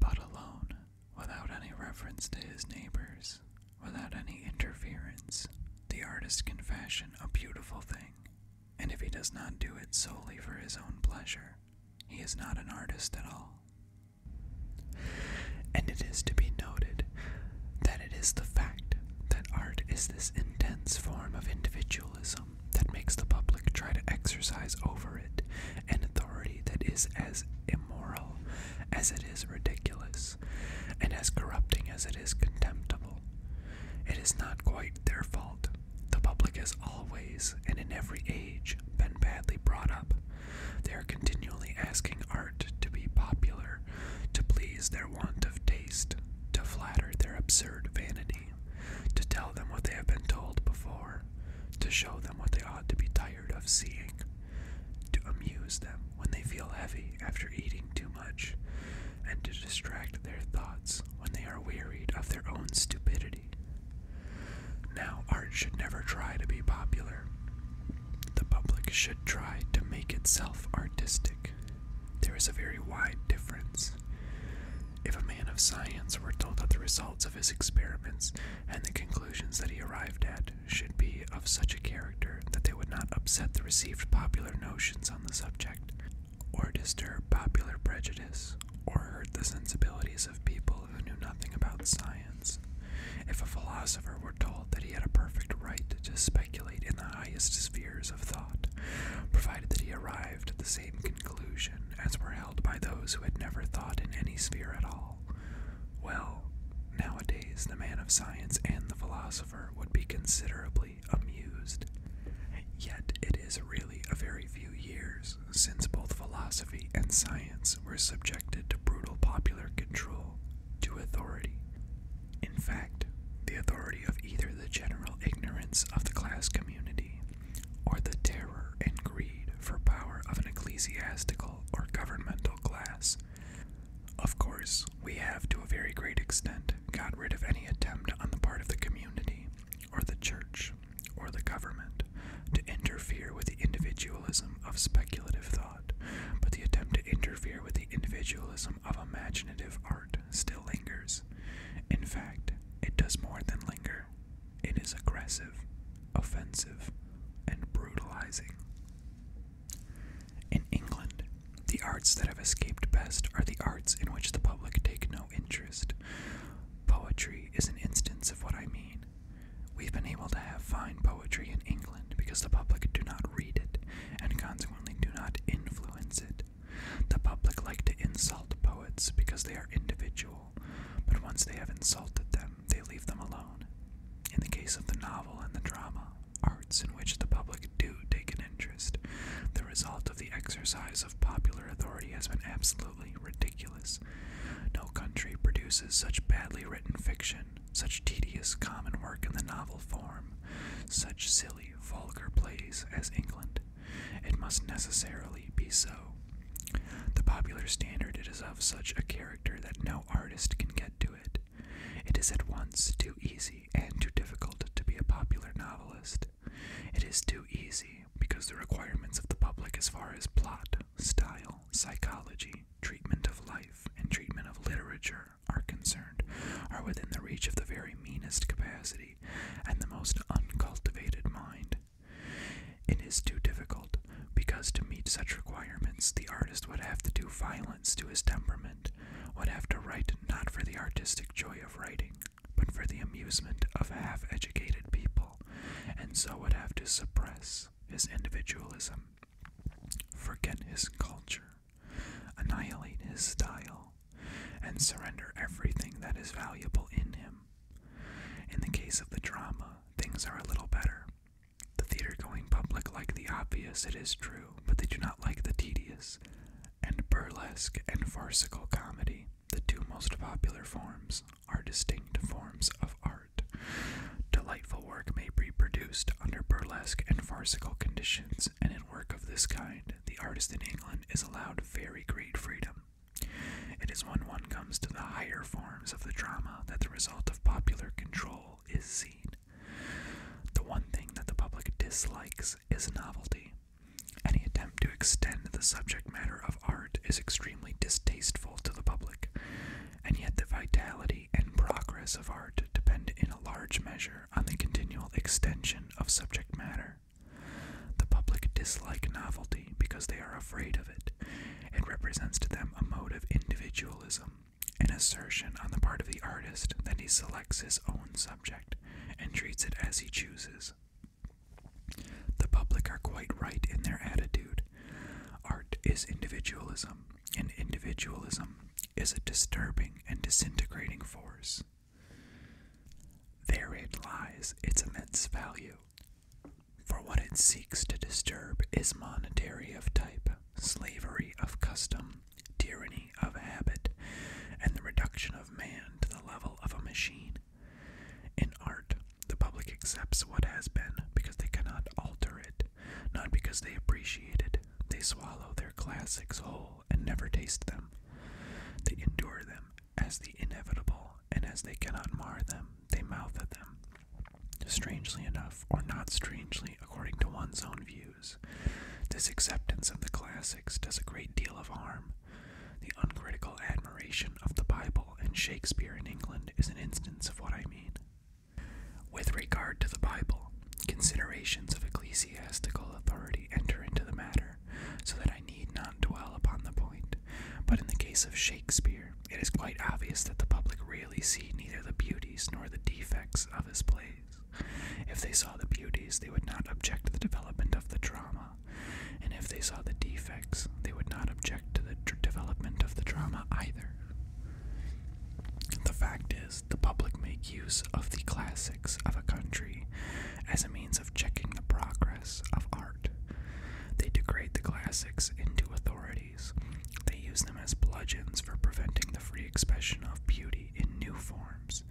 but alone. Without any reference to his neighbors, without any interference, the artist can fashion a beautiful thing, and if he does not do it solely for his own pleasure, he is not an artist at all. And it is to be noted that it is the fact that art is this intense form of individualism that makes the public try to exercise over it an authority that is as immoral as it is ridiculous, and as corrupting as it is contemptible. It is not quite their fault. The public has always, and in every age, been badly brought up. They are continually asking art to be popular, to please their want of taste, to flatter their absurd vanity, to tell them what they have been told before, to show them what they ought to be tired of seeing to amuse them when they feel heavy after eating too much, and to distract their thoughts when they are wearied of their own stupidity. Now, art should never try to be popular. The public should try to make itself artistic. There is a very wide difference. If a man of science were told of the results of his experiments and the conclusions that he arrived at, should be of such a character that they would not upset the received popular notions on the subject, or disturb popular prejudice, or hurt the sensibilities of people who knew nothing about science. If a philosopher were told that he had a perfect right to speculate in the highest spheres of thought, provided that he arrived at the same conclusion as were held by those who had never thought in any sphere at all, well. nowadays the man of science and the philosopher would be considerably amused. Yet it is really a very few years since both philosophy and science were subjected to brutal popular control, to authority. In fact, the authority of either the general ignorance of the class community or the terror and greed for power of an ecclesiastical or governmental class of course, we have to a very great extent got rid of any attempt on the part of the community, or the church, or the government to interfere with the individualism of speculative thought, but the attempt to interfere with the individualism of imaginative art still lingers. In fact, it does more than linger, it is aggressive, offensive, and brutalizing. In England, the arts that have escaped best are the arts in which the public take no interest. Poetry is an instance of what I mean. We've been able to have fine poetry in England because the public do not read it and consequently do not influence it. The public like to insult poets because they are individual, but once they have insulted them, they leave them alone. In the case of the novel and the drama, arts in which the public do take an interest, the result of the exercise of popular authority has been absolutely ridiculous. No country produces such badly written fiction, such tedious common work in the novel form, such silly, vulgar plays as England. It must necessarily be so. The popular standard is of such a character that no artist can get to it, it is at once too easy and too difficult to be a popular novelist. It is too easy because the requirements of the public as far as plot, style, psychology, treatment of life, and treatment of literature are concerned are within the reach of the very meanest capacity and the most uncultivated mind. It is too difficult because to meet such requirements, the artist would have to do violence to his temperament, would have to write not for the artistic joy of writing, but for the amusement of half educated people, and so would have to suppress his individualism, forget his culture, annihilate his style, and surrender everything that is valuable in him. In the case of the drama, things are a little better. The theater going public like the obvious, it is true, but they do not like the tedious. And burlesque and farcical comedy, the two most popular forms, are distinct forms of art. Delightful work may be produced under burlesque and farcical conditions, and in work of this kind, the artist in England is allowed very great freedom. It is when one comes to the higher forms of the drama that the result of popular control is seen. The one thing that the public dislikes is novelty. Any attempt to extend the subject matter of art is extremely distasteful to the public, and yet the vitality and progress of art depend in a large measure on the continual extension of subject matter. The public dislike novelty because they are afraid of it. It represents to them a mode of individualism, an assertion on the part of the artist that he selects his own subject and treats it as he chooses. The public are quite right in their attitude. Art is individualism, and individualism is a disturbing and disintegrating force. Therein lies its immense value, for what it seeks to disturb is monetary of type slavery of custom, tyranny of habit, and the reduction of man to the level of a machine. In art, the public accepts what has been because they cannot alter it, not because they appreciate it. They swallow their classics whole and never taste them. They endure them as the inevitable, and as they cannot mar them, they mouth at them. Strangely enough, or not strangely according to one's own views, this acceptance of the classics does a great deal of harm. The uncritical admiration of the Bible and Shakespeare in England is an instance of what I mean. With regard to the Bible, considerations of ecclesiastical authority enter into the matter, so that I need not dwell upon the point. But in the case of Shakespeare, it is quite obvious that the public realized see neither the beauties nor the defects of his plays. If they saw the beauties, they would not object to the development of the drama, and if they saw the defects, they would not object to the development of the drama either. The fact is, the public make use of the classics of a country as a means of checking the progress of art. They degrade the classics into authority they use them as bludgeons for preventing the free expression of beauty in new forms.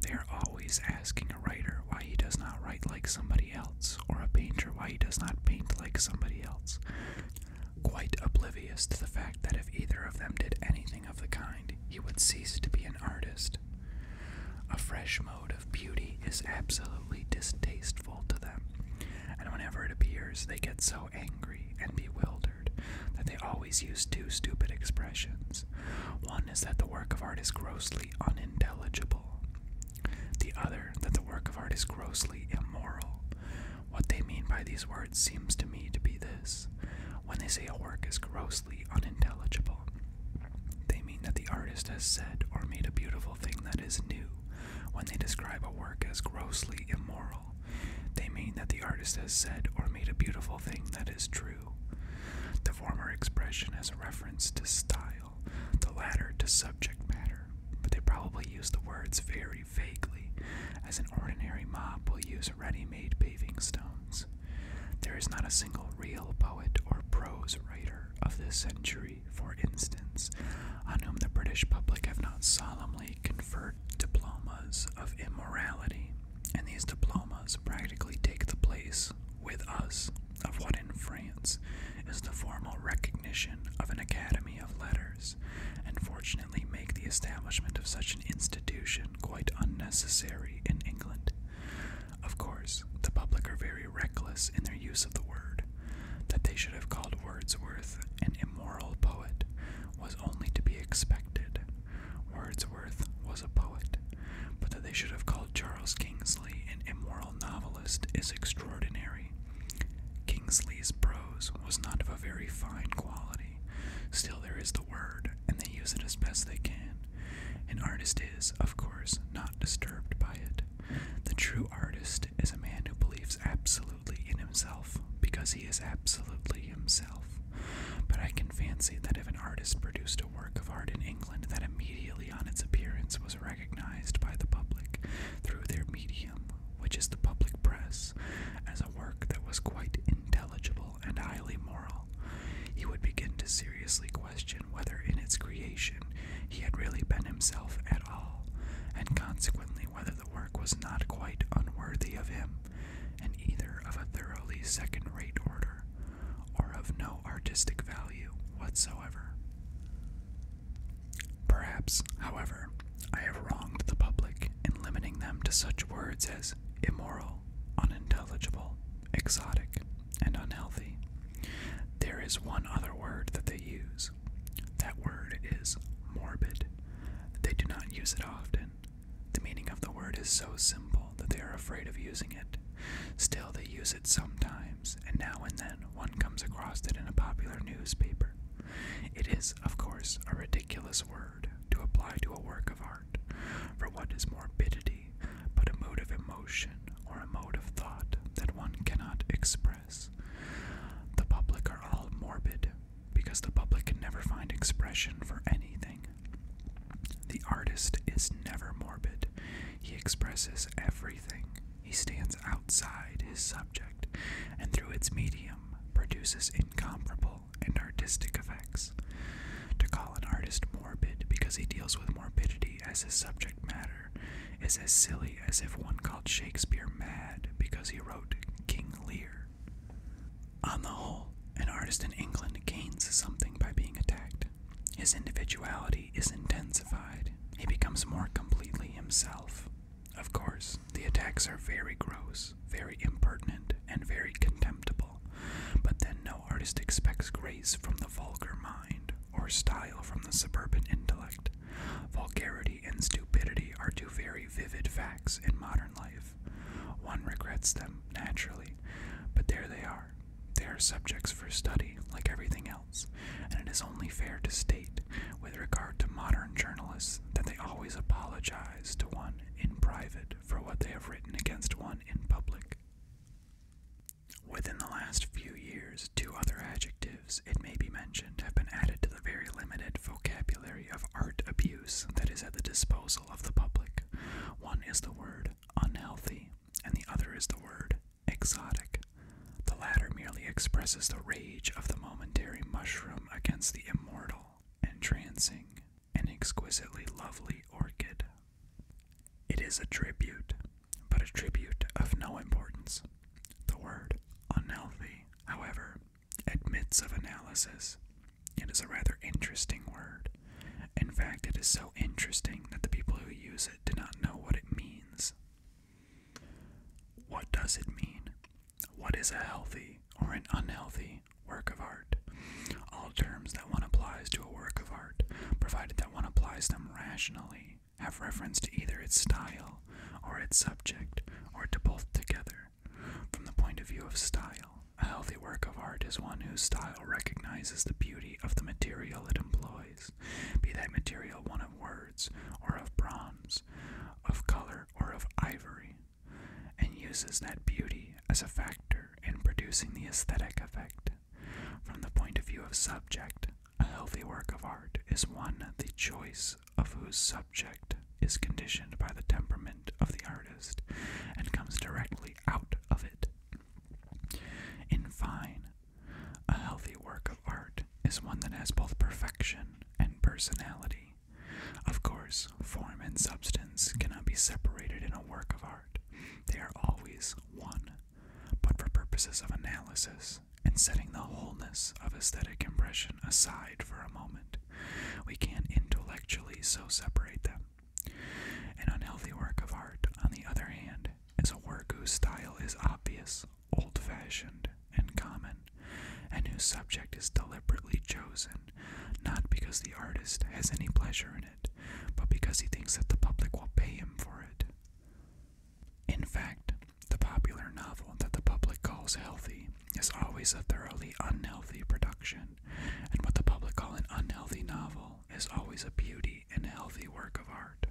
They are always asking a writer why he does not write like somebody else, or a painter why he does not paint like somebody else, quite oblivious to the fact that if either of them did anything of the kind, he would cease to be an artist. A fresh mode of beauty is absolutely distasteful to them, and whenever it appears, they get so angry and bewildered that they always use two stupid expressions. One is that the work of art is grossly unintelligible, the other that the work of art is grossly immoral. What they mean by these words seems to me to be this. When they say a work is grossly unintelligible, they mean that the artist has said or made a beautiful thing that is new when they describe a work as grossly immoral. They mean that the artist has said or made a beautiful thing that is true. The former expression has a reference to style, the latter to subject matter, but they probably use the words very vaguely, as an ordinary mob will use ready made paving stones. There is not a single real poet or prose writer of this century, for instance, on whom the British public have not solemnly family diplomas of immorality, and these diplomas practically take the place with us of what in France is the formal recognition of an Academy of Letters, and fortunately make the establishment of such an institution quite unnecessary in England. Of course, the public are very reckless in their use of the word, that they should have called Wordsworth an immoral poet was only to be expected. Wordsworth was a poet, but that they should have called Charles Kingsley an immoral novelist is extraordinary. Kingsley's prose was not of a very fine quality. Still, there is the word, and they use it as best they can. An artist is, of course, not disturbed by it. The true artist is a man who believes absolutely in himself because he is absolutely himself. But I can fancy that if an artist produced a work of art in England that immediately on its appearance was recognized by the public through their medium, which is the public press, as a work that was quite intelligible and highly moral, he would begin to seriously question whether in its creation he had really been himself at all, and consequently whether the work was not quite unworthy of him, and either of a thoroughly second rate order or of no artistic value whatsoever. Perhaps, however, I have wronged the public in limiting them to such words as immoral, unintelligible, exotic, and unhealthy. There is one other word that they use. That word is morbid. They do not use it often. The meaning of the word is so simple that they are afraid of using it. Still, they use it sometimes, and now and then one comes across it in a popular newspaper. It is, of course, a ridiculous word to apply to a work of art, for what is morbidity but a mode of emotion or a mode of thought that one cannot express? The public are all morbid because the public can never find expression for anything. The artist is never morbid. He expresses everything. He stands outside his subject and through its medium produces incomparable and artistic effects. To call an artist morbid because he deals with morbidity as his subject matter is as silly as if one called Shakespeare mad because he wrote King Lear. On the whole, an artist in England gains something by being attacked. His individuality is intensified. He becomes more completely himself. Of course, the attacks are very gross, very impertinent, and very contemptible, but then no artist expects grace from the vulgar mind or style from the suburban intellect. Vulgarity and stupidity are two very vivid facts in modern life. One regrets them, naturally, but there they are. They are subjects for study, like everything else, and it is only fair to state, with regard to modern journalists, that they always apologize to one in private for what they have written against one in public. Within the last few years, two other adjectives, it may be mentioned, have been added to the very limited vocabulary of art abuse that is at the disposal of the public. One is the word unhealthy, and the other is the word exotic. The latter merely expresses the rage of the momentary mushroom against the immortal, entrancing, and exquisitely lovely orchid. It is a tribute, but a tribute of no importance. The word unhealthy, however, admits of analysis. It is a rather interesting word. In fact, it is so interesting that the people who use it do not know what it means. What does it mean? What is a healthy or an unhealthy work of art? All terms that one applies to a work of art, provided that one applies them rationally, have reference to either its style or its subject, or to both together. From the point of view of style, a healthy work of art is one whose style recognizes the beauty of the material it employs, be that material one of words, or of bronze, of color, or of ivory, and uses that beauty as a factor in producing the aesthetic effect. From the point of view of subject, a healthy work of art is one the choice of whose subject is conditioned by the temperament of the artist and comes directly out of it. In fine, a healthy work of art is one that has both perfection and personality. Of course, form and substance cannot be separated in a work of art, they are always one. But for purposes of analysis and setting the wholeness of aesthetic impression aside for a moment, we can't intellectually so separate them. An unhealthy work of art, on the other hand, is a work whose style is obvious, old fashioned, and common, and whose subject is deliberately chosen, not because the artist has any pleasure in it, but because he thinks that the public will pay him for it. In fact, the popular novel that the public calls healthy is always a thoroughly unhealthy production, and what the public call an unhealthy novel is always a beauty and healthy work of art.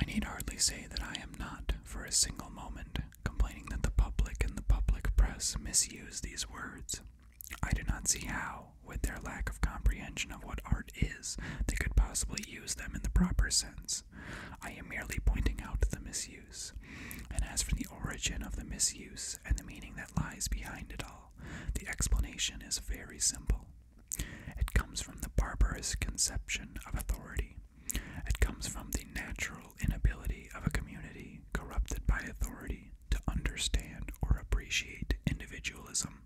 I need hardly say that I am not, for a single moment, complaining that the public and the public press misuse these words. I do not see how, with their lack of comprehension of what art is, they could possibly use them in the proper sense. I am merely pointing out the misuse. And as for the origin of the misuse and the meaning that lies behind it all, the explanation is very simple. It comes from the barbarous conception of authority. It comes from the natural inability of a community corrupted by authority to understand or appreciate individualism.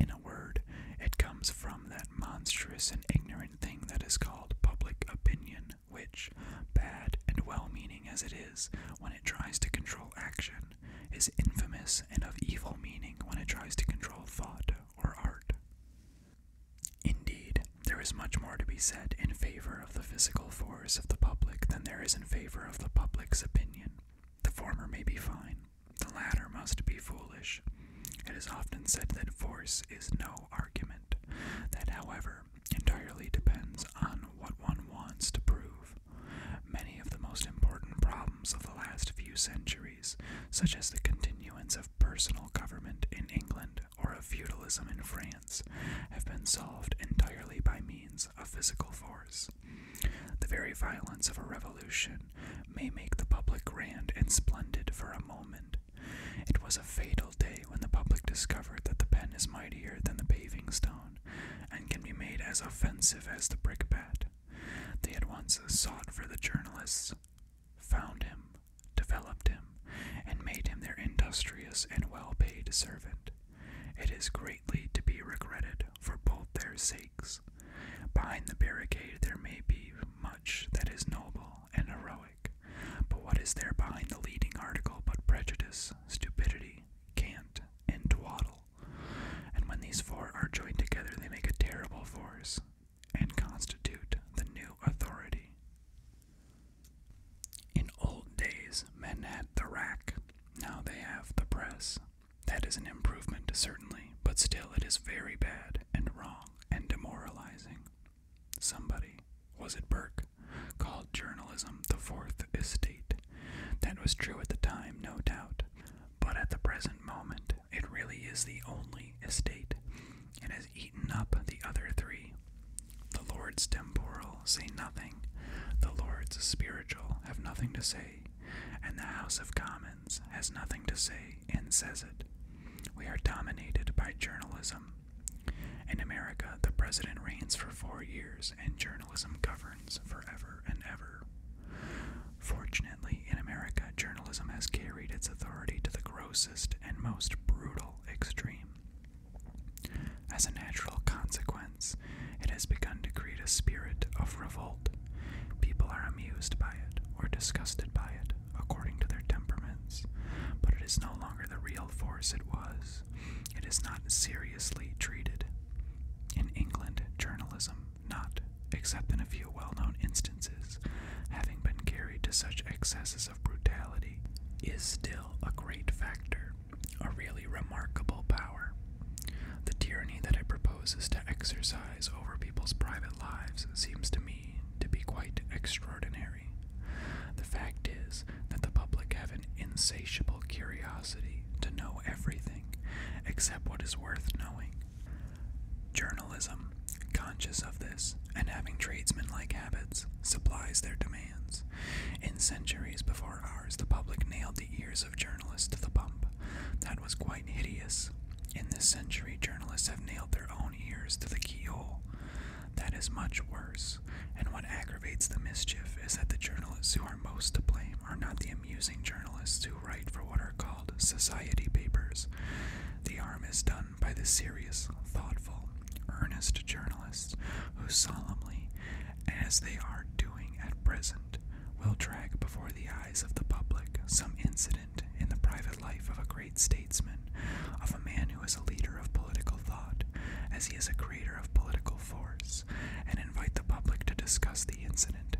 In a word, it comes from that monstrous and ignorant thing that is called public opinion, which, bad and well meaning as it is, when it tries to control action, is infamous and of evil meaning when it tries to control thought or art. Indeed, there is much more to be said in favor of the physical force of the public than there is in favor of the public's opinion. The former may be fine, the latter must be foolish. It is often said that force is no argument, that, however, entirely depends on what one wants to prove. Many of the most important problems of the last few centuries, such as the continuance of personal government in England or of feudalism in France, have been solved entirely by means of physical force. The very violence of a revolution may make the public grand and splendid for a moment, it was a fatal day when the public discovered that the pen is mightier than the paving stone, and can be made as offensive as the brickbat. They at once sought for the journalists, found him, developed him, and made him their industrious and well paid servant. It is greatly to be regretted for both their sakes. Behind the barricade there may be much that is noble and heroic. But what is there behind the leading article but prejudice, stupidity, cant, and twaddle? And when these four are joined together, they make a terrible force and constitute the new authority. In old days, men had the rack, now they have the press. That is an improvement, certainly, but still it is very bad and wrong and demoralizing. Somebody, was it Burke, called journalism the fourth estate. That was true at the time, no doubt. But at the present moment, it really is the only estate. It has eaten up the other three. The Lord's temporal say nothing, the Lord's spiritual have nothing to say, and the House of Commons has nothing to say and says it. We are dominated by journalism in America, the president reigns for four years and journalism governs forever and ever. Fortunately, in America, journalism has carried its authority to the grossest and most brutal extreme. As a natural consequence, it has begun to create a spirit of revolt. People are amused by it or disgusted by it according to their temperaments, but it is no longer the real force it was. It is not seriously treated. In England, journalism, not, except in a few well known instances, having been carried to such excesses of brutality, is still a great factor, a really remarkable power. The tyranny that it proposes to exercise over people's private lives seems to me to be quite extraordinary. The fact is that the public have an insatiable curiosity to know everything except what is worth knowing. Journalism, conscious of this and having tradesmen like habits, supplies their demands. In centuries before ours, the public nailed the ears of journalists to the pump. That was quite hideous. In this century, journalists have nailed their own ears to the keyhole. That is much worse, and what aggravates the mischief is that the journalists who are most to blame are not the amusing journalists who write for what are called society papers. The harm is done by the serious, thoughtful, earnest journalists who solemnly, as they are doing at present, will drag before the eyes of the public some incident in the private life of a great statesman, of a man who. As a leader of political thought, as he is a creator of political force, and invite the public to discuss the incident,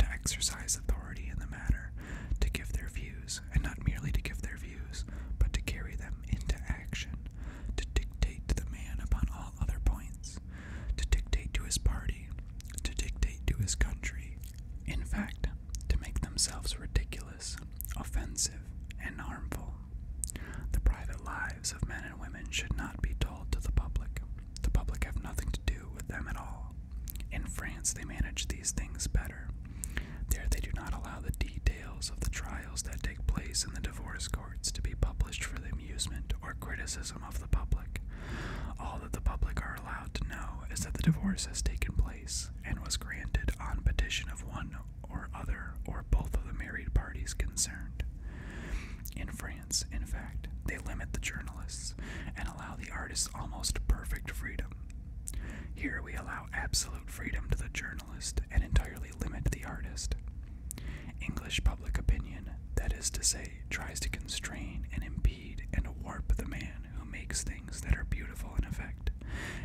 to exercise authority in the matter, to give their views, and not merely to give their views, but to carry them into action, to dictate to the man upon all other points, to dictate to his party, to dictate to his country, in fact, to make themselves ridiculous offensive, and harmful. The private lives of men and women should not be told to the public. The public have nothing to do with them at all. In France, they manage these things better. There, they do not allow the details of the trials that take place in the divorce courts to be published for the amusement or criticism of the public. All that the public are allowed to know is that the divorce has taken place and was granted on petition of one or other or both of the married parties concerned. In France, in fact, they limit the journalists and allow the artists almost perfect freedom. Here we allow absolute freedom to the journalist and entirely limit the artist. English public opinion, that is to say, tries to constrain and impede and warp the man who makes things that are beautiful in effect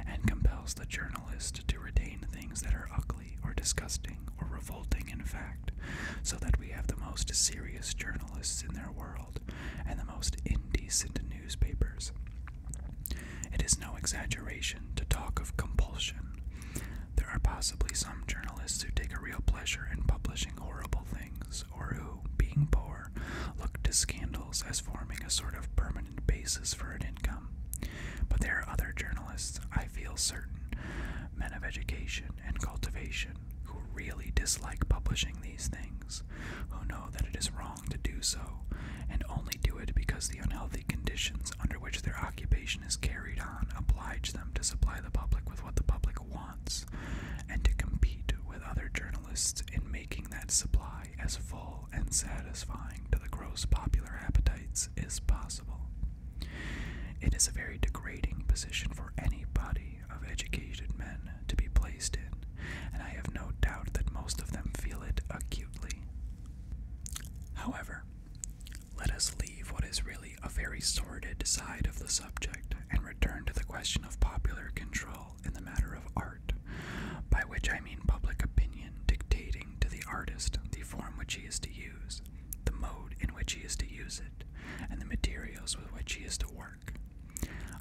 and compels the journalist to retain things that are ugly or disgusting or revolting, in fact, so that we have the most serious journalists in their world and the most indecent newspapers. It is no exaggeration to talk of compulsion. There are possibly some journalists who take a real pleasure in publishing horrible things, or who, being poor, look to scandals as forming a sort of permanent basis for an income. But there are other journalists, I feel certain, men of education and cultivation, who really dislike publishing these things, who know that it is wrong to do so, and only do it because the unhealthy conditions under which their occupation is carried on oblige them to supply the public with what the public wants, and to compete with other journalists in making that supply as full and satisfying to the gross popular appetites as possible. It is a very degrading position for any body of educated men to be placed in, and I have no doubt that most of them feel it acutely. However, let us leave what is really a very sordid side of the subject and return to the question of popular control in the matter of art, by which I mean public opinion dictating to the artist the form which he is to use, the mode in which he is to use it, and the materials with which he is to work.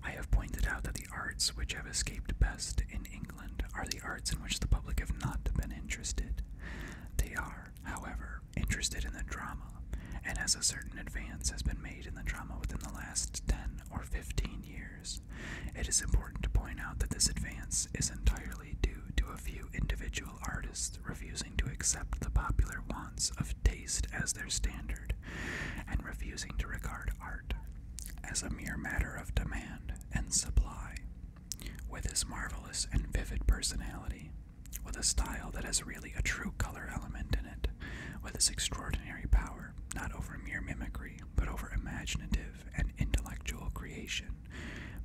I have pointed out that the arts which have escaped best in England are the arts in which the public have not been interested. They are, however, interested in the drama, and as a certain advance has been made in the drama within the last 10 or 15 years, it is important to point out that this advance is entirely due to a few individual artists refusing to accept the popular wants of taste as their standard, and refusing to regard art as a mere matter of demand and supply. With his marvelous and vivid personality, with a style that has really a true color element in it, with his extraordinary power, not over mere mimicry, but over imaginative and intellectual creation,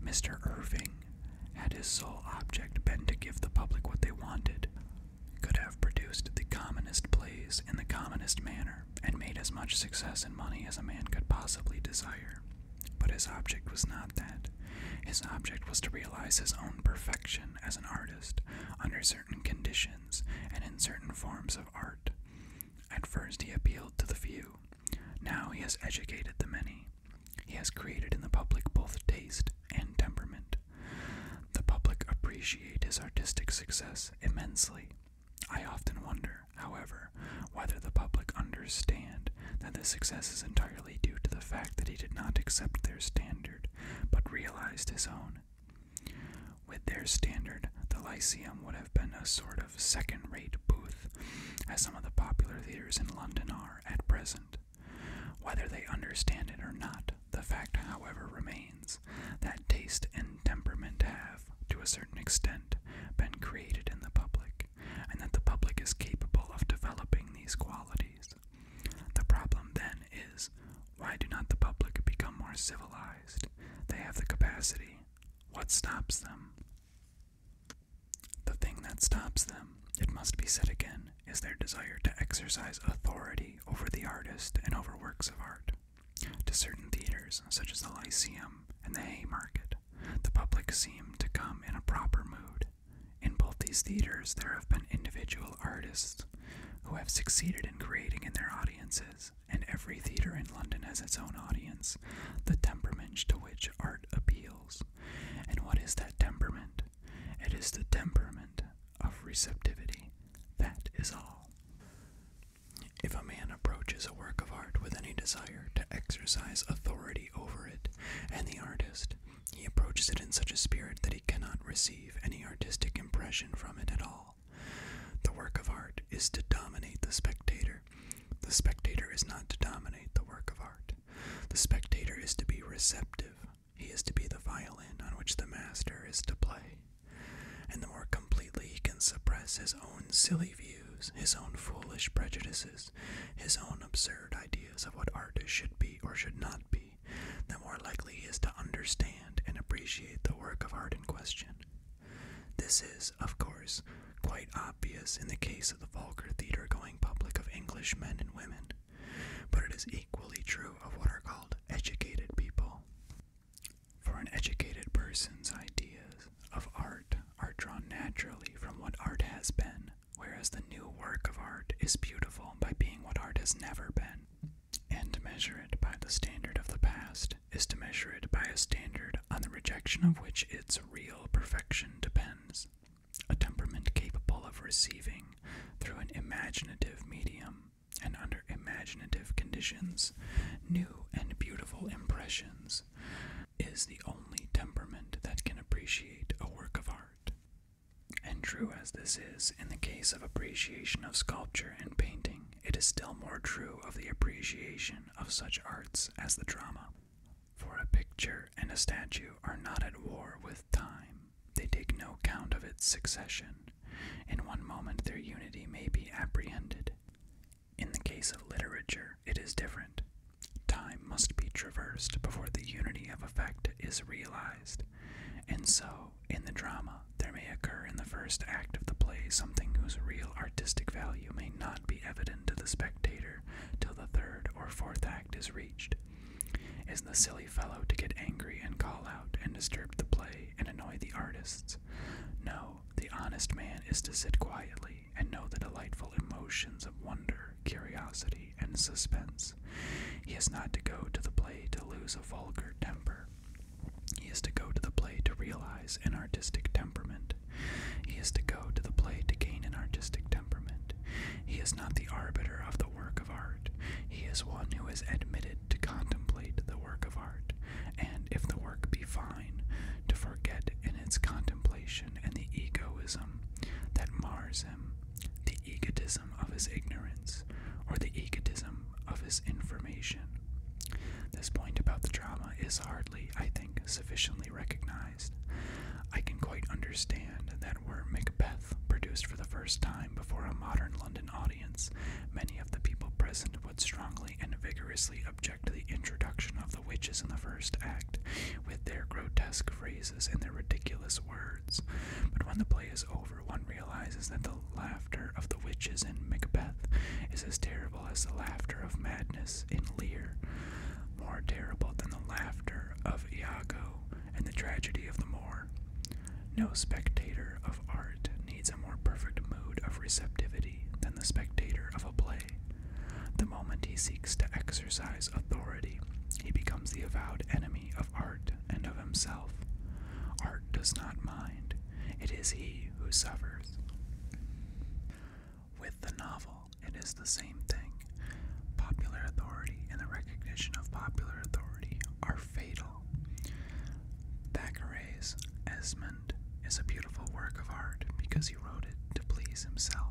Mr. Irving had his sole object been to give the public what they wanted, could have produced the commonest plays in the commonest manner, and made as much success and money as a man could possibly desire. But his object was not that. His object was to realize his own perfection as an artist under certain conditions and in certain forms of art. At first, he appealed to the few. Now he has educated the many. He has created in the public both taste and temperament. The public appreciate his artistic success immensely. I often wonder, however, whether the public understand that this success is entirely due to the fact that he did not accept their standard, but realized his own. With their standard, the Lyceum would have been a sort of second rate booth, as some of the popular theatres in London are at present. Whether they understand it or not, the fact, however, remains that taste and temperament have, to a certain extent, been created in the public, and that the public is capable of developing these qualities. The problem then is why do not the public become more civilized? They have the capacity. What stops them? The thing that stops them, it must be said again, is their desire to exercise authority over the artist and over works of art. To certain theaters, such as the Lyceum and the Haymarket, the public seem to come in a proper mood. In both these theaters, there have been individual artists who have succeeded in creating in their audiences, and every theater in London has its own audience the temperament to which art appeals. And what is that temperament? It is the temperament of receptivity. That is all. If a man approaches a work of art with any desire to exercise authority over it and the artist, he approaches it in such a spirit that he cannot receive any artistic impression from it at all. The work of art is to dominate the spectator the spectator is not to dominate the work of art. The spectator is to be receptive. He is to be the violin on which the master is to play. And the more completely he can suppress his own silly views, his own foolish prejudices, his own absurd ideas of what art should be or should not be, the more likely he is to understand and appreciate the work of art in question. This is, of course, quite obvious in the case of the vulgar theater going public of English men and women, but it is equally true of what are called educated people. For an educated person's ideas of art are drawn naturally from what art has been, whereas the new work of art is beautiful by being what art has never been. And to measure it by the standard of the past is to measure it by a standard on the rejection of which its real perfection depends, a temperament capable of receiving through an imaginative medium and under imaginative conditions new and beautiful impressions is the only temperament that can appreciate a work of art. And true as this is in the case of appreciation of sculpture and painting, it is still more true of the appreciation of such arts as the drama. For a picture and a statue are not at war with time, they take no count of its succession. In one moment, their unity may be apprehended. In the case of literature, it is different. Time must be traversed before the unity of effect is realized. And so, in the drama, there may occur in the first act of the play something whose real artistic value may not be evident to the spectator till the third or fourth act is reached. Is the silly fellow to get angry and call out and disturb the play and annoy the artists? No, the honest man is to sit quietly and know the delightful emotions of wonder, curiosity, and suspense. He is not to go to the play to lose a vulgar temper. He is to go to the play to realize an artistic temperament, he is to go to the play to gain an artistic temperament. He is not the arbiter of the work of art. He is one who is admitted to contemplate the work of art, and if the work be fine, to forget in its contemplation and the egoism that mars him, the egotism of his ignorance, or the egotism of his information. This point about the drama is hardly, I think, sufficiently recognized I can quite understand that were Macbeth produced for the first time before a modern London audience, many of the people present would strongly and vigorously object to the introduction of the witches in the first act, with their grotesque phrases and their ridiculous words. But when the play is over, one realizes that the laughter of the witches in Macbeth is as terrible as the laughter of madness in Lear, more terrible than the laughter of Iago and the tragedy of the Moor. No spectator of art needs a more perfect mood of receptivity than the spectator of a play. The moment he seeks to exercise authority, he becomes the avowed enemy of art and of himself. Art does not mind, it is he who suffers with the novel. It is the same thing. Popular authority and the recognition of popular authority are fatal. Thackeray's Esmond is a beautiful work of art because he wrote it to please himself.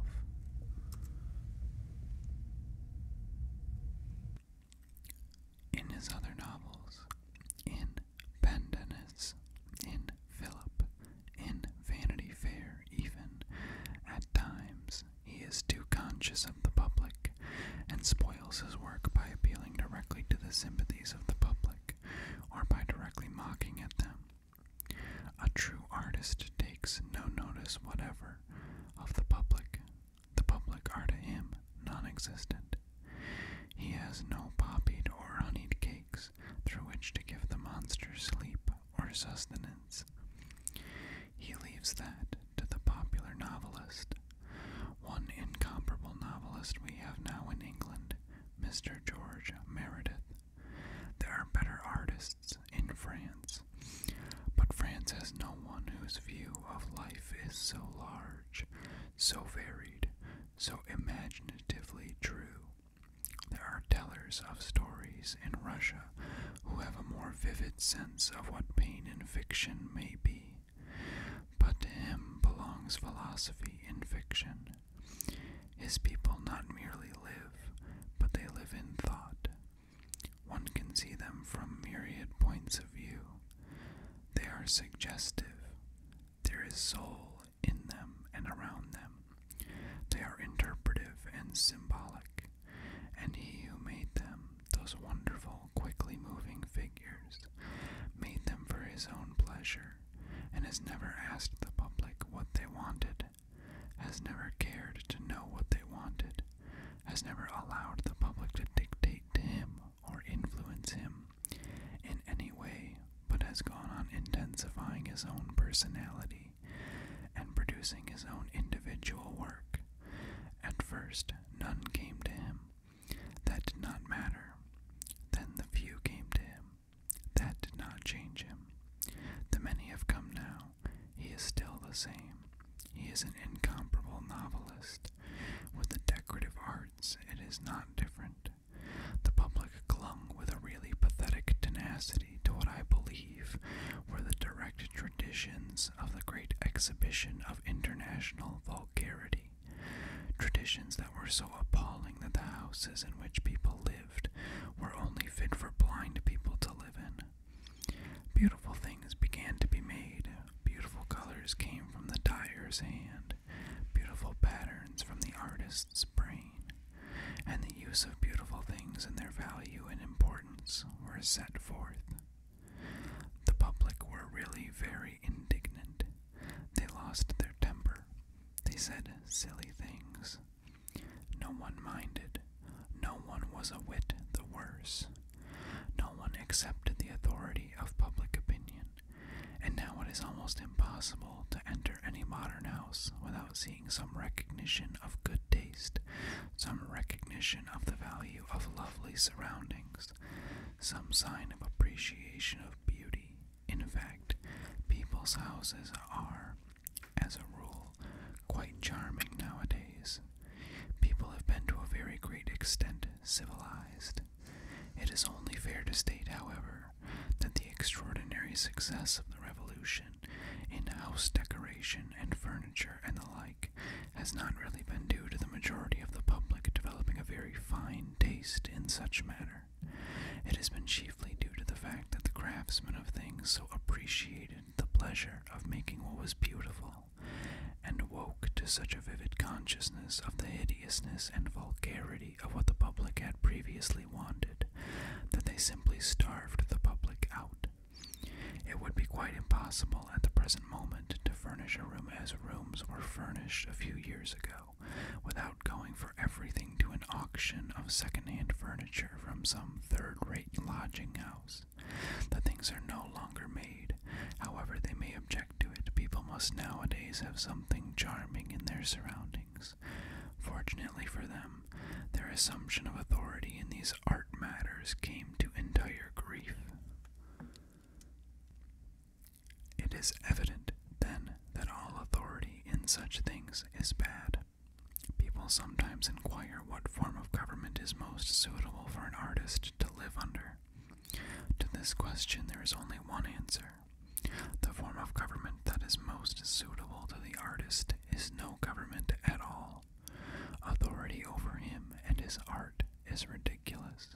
In his other novels, in Pendennis, in Philip, in Vanity Fair, even. At times, he is too conscious of the public and spoils his work by appealing directly to the sympathies of the public or by directly mocking at them. A true artist takes no notice whatever of the public. The public are to him non existent. He has no poppied or honeyed cakes through which to give the monster sleep or sustenance. He leaves that to the popular novelist. One incomparable novelist we have now in England, Mr. George Meredith. There are better artists in France, but France has no one whose view of life is so large, so varied, so imaginatively true, there are tellers of stories in Russia who have a more vivid sense of what pain in fiction may be, but to him belongs philosophy in fiction. His people not merely live, but they live in thought. One can see them from myriad points of view. They are suggestive. There is soul in them and around them. They are interpretive and symbolic, and he who made them, those wonderful, quickly moving figures, made them for his own pleasure, and has never asked the public what they wanted, has never cared to know what they wanted, has never allowed the public to dictate to him or influence him in any way, but has gone on intensifying his own personality and producing his own individual work. At first, none came to him. That did not matter. Then the few came to him. That did not change him. The many have come now. He is still the same. He is an incomparable novelist. With the decorative arts, it is not different. The public clung with a really pathetic tenacity to what I believe were the direct traditions of the Great Exhibition of International Vulgarity, traditions that were so appalling that the houses in which people lived were only fit for blind people to live in. Beautiful things began to be made. Beautiful colors came from the dyer's hand. Beautiful patterns from the artist's brain and the use of beautiful things and their value and importance were set forth. The public were really very indignant. They lost their temper. They said silly things. No one minded. No one was a whit the worse. No one accepted the authority of public opinion, and now it is almost impossible to enter any modern house without seeing some recognition of good taste, some recognition of the value of lovely surroundings, some sign of appreciation of beauty. In fact, people's houses are, as a rule, quite charming nowadays. People have been to a very great extent civilized. It is only fair to state, however, that the extraordinary success of the revolution in house decoration and furniture and the like has not really been due to the majority of the public developing a very fine taste in such matter. It has been chiefly due to the fact that the craftsmen of things so appreciated the pleasure of making what was beautiful, and woke to such a vivid consciousness of the hideousness and vulgarity of what the public had previously wanted, that they simply starved the public out. It would be quite impossible at the present moment to furnish a room as rooms were furnished a few years ago, without going for everything to an auction of second-hand furniture from some third-rate lodging house. The things are no longer made. However they may object to it, people must nowadays have something charming in their surroundings. Fortunately for them, their assumption of authority in these art matters came to entire grief. It is evident, then, that all authority in such things is bad. People sometimes inquire what form of government is most suitable for an artist to live under. To this question, there is only one answer. The form of government that is most suitable to the artist is no government at all. Authority over him and his art is ridiculous.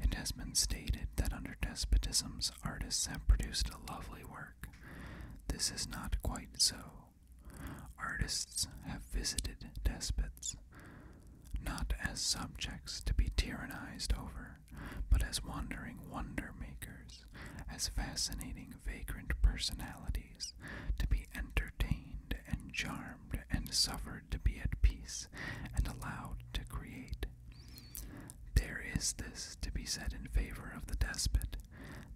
It has been stated that under despotisms artists have produced a lovely work. This is not quite so. Artists have visited despots, not as subjects to be tyrannized over, but as wandering wonder makers as fascinating vagrant personalities to be entertained and charmed and suffered to be at peace and allowed to create. There is this to be said in favor of the despot,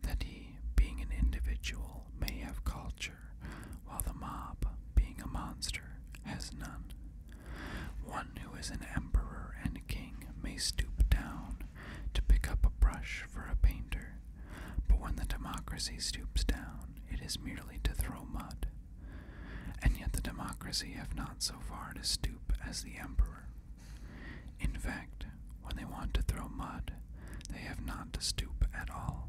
that he, being an individual, may have culture, while the mob, being a monster, has none. One who is an emperor and king may stoop down to pick up a brush for a painter, but when the democracy stoops down, it is merely to throw mud. And yet the democracy have not so far to stoop as the emperor. In fact, when they want to throw mud, they have not to stoop at all.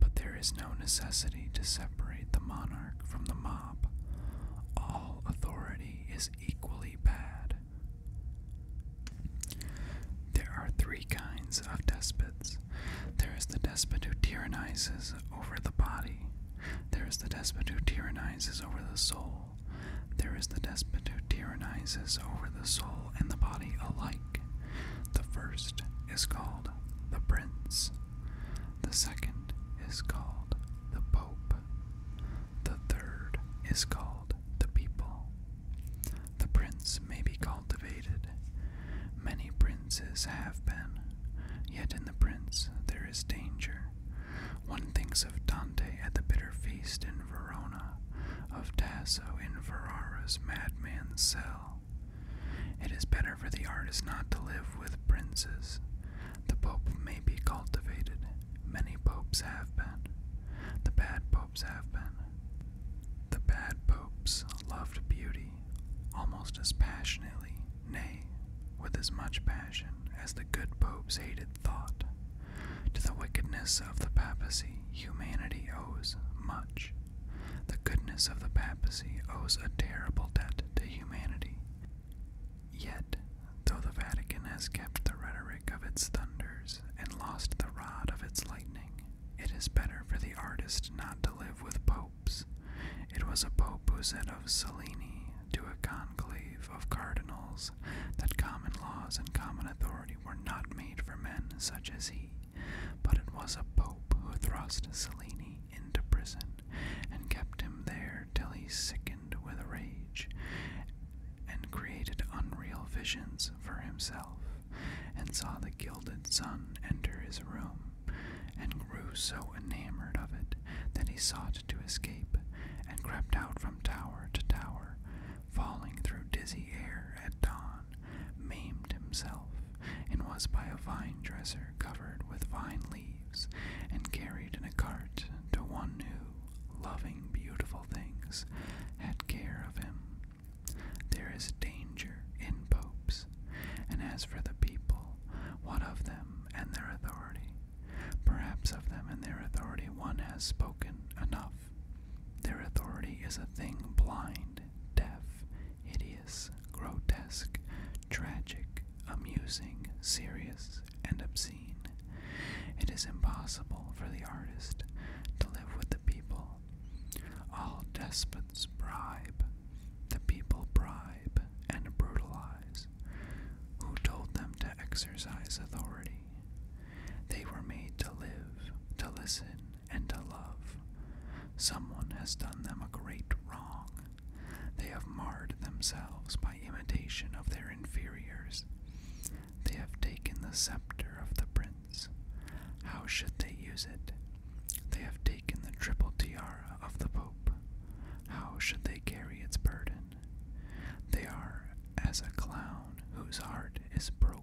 But there is no necessity to separate the monarch from the mob. All authority is equally bad, there are three kinds of despots. There is the despot who tyrannizes over the body. There is the despot who tyrannizes over the soul. There is the despot who tyrannizes over the soul and the body alike. The first is called the prince. The second is called the pope. The third is called the people. The prince may be cultivated. Many princes have been, yet in the prince there is danger. One thinks of Dante at the bitter feast in Verona, of Tasso in Ferrara's madman's cell. It is better for the artist not to live with princes. The pope may be cultivated. Many popes have been. The bad popes have been. The bad popes loved beauty almost as passionately, nay, with as much passion as the good popes hated thought. To the wickedness of the papacy, humanity owes much. The goodness of the papacy owes a terrible debt to humanity. Yet, though the Vatican has kept the rhetoric of its thunders, and lost the rod of its lightning. It is better for the artist not to live with popes. It was a pope who said of Cellini to a conclave of cardinals that common laws and common authority were not made for men such as he, but it was a pope who thrust Cellini into prison and kept him there till he sickened with rage, and created unreal visions for himself, and saw the gilded sun enter his room, and grew so enamored of it that he sought to escape, and crept out from tower to tower, falling through dizzy air at dawn, maimed himself, and was by a vine dresser covered with vine leaves, and carried in a cart to one who, loving beautiful things, had care of him. There is danger in popes, and as for the people, what of them and their authority? Perhaps of them and their authority one has spoken enough. Their authority is a thing blind, deaf, hideous, grotesque, tragic, amusing, serious, and obscene. It is impossible for the artist to live with the people. All despots bribe, the people bribe and brutalize. Who told them to exercise authority? They were made to live, to listen, and to love. Someone has done them a great wrong. They have marred themselves by imitation of their inferiors. They have taken the scepter of the prince. How should they use it? They have taken the triple tiara of the pope. How should they carry its burden? They are as a clown whose heart is broken.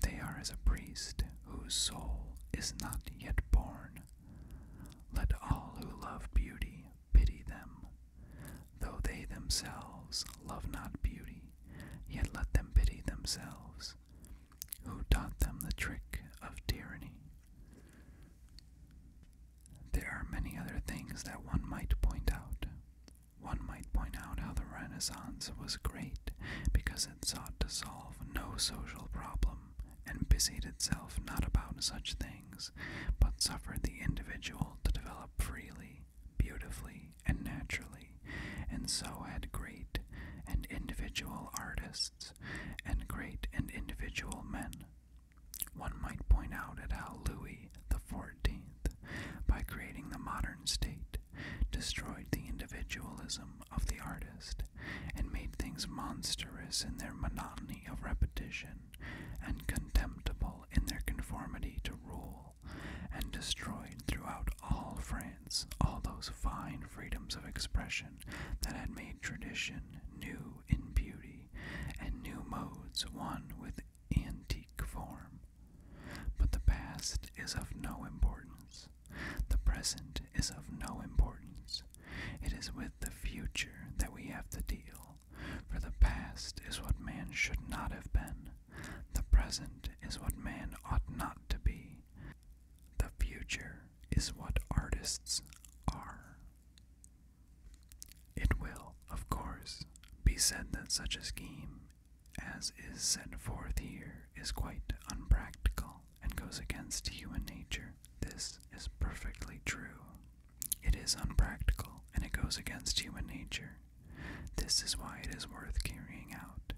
They are as a priest whose soul is not yet born. Let all who love beauty pity them. Though they themselves love not beauty, yet let them pity themselves, who taught them the trick of tyranny. There are many other things that one might point out. One might point out how the Renaissance was great because it sought to solve no social problem and busied itself not about such things, but suffered the individual to develop freely beautifully, and naturally, and so had great and individual artists and great and individual men. One might point out at how Louis the Fourteenth, by creating the modern state, destroyed the individualism of the artist and made things monstrous in their monotony of repetition and contemptible in their conformity to rule and destroyed throughout all France all those fine freedoms of expression that had made tradition new in beauty, and new modes one with antique form. But the past is of no importance. The present is of no importance. It is with the future that we have to deal, for the past is what man should not have been, the present is what man ought not to be. The future is what artists are. It will, of course, be said that such a scheme as is set forth here is quite unpractical and goes against human nature. This is perfectly true. It is unpractical and it goes against human nature. This is why it is worth carrying out,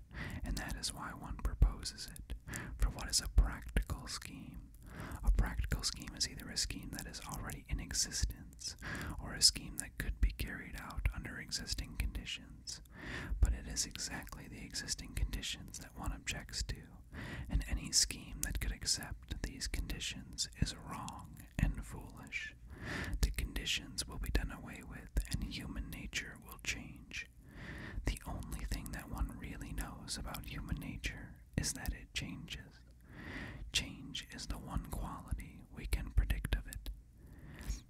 and that is why one proposes it. For what is a practical scheme? A practical scheme is either a scheme that is already in existence or a scheme that could be carried out under existing conditions. But it is exactly the existing conditions that one objects to, and any scheme that could accept these conditions is wrong and foolish. The conditions will be done away with, and human nature will change. The only thing that one really knows about human nature is that it changes. Change is the one quality we can predict of it.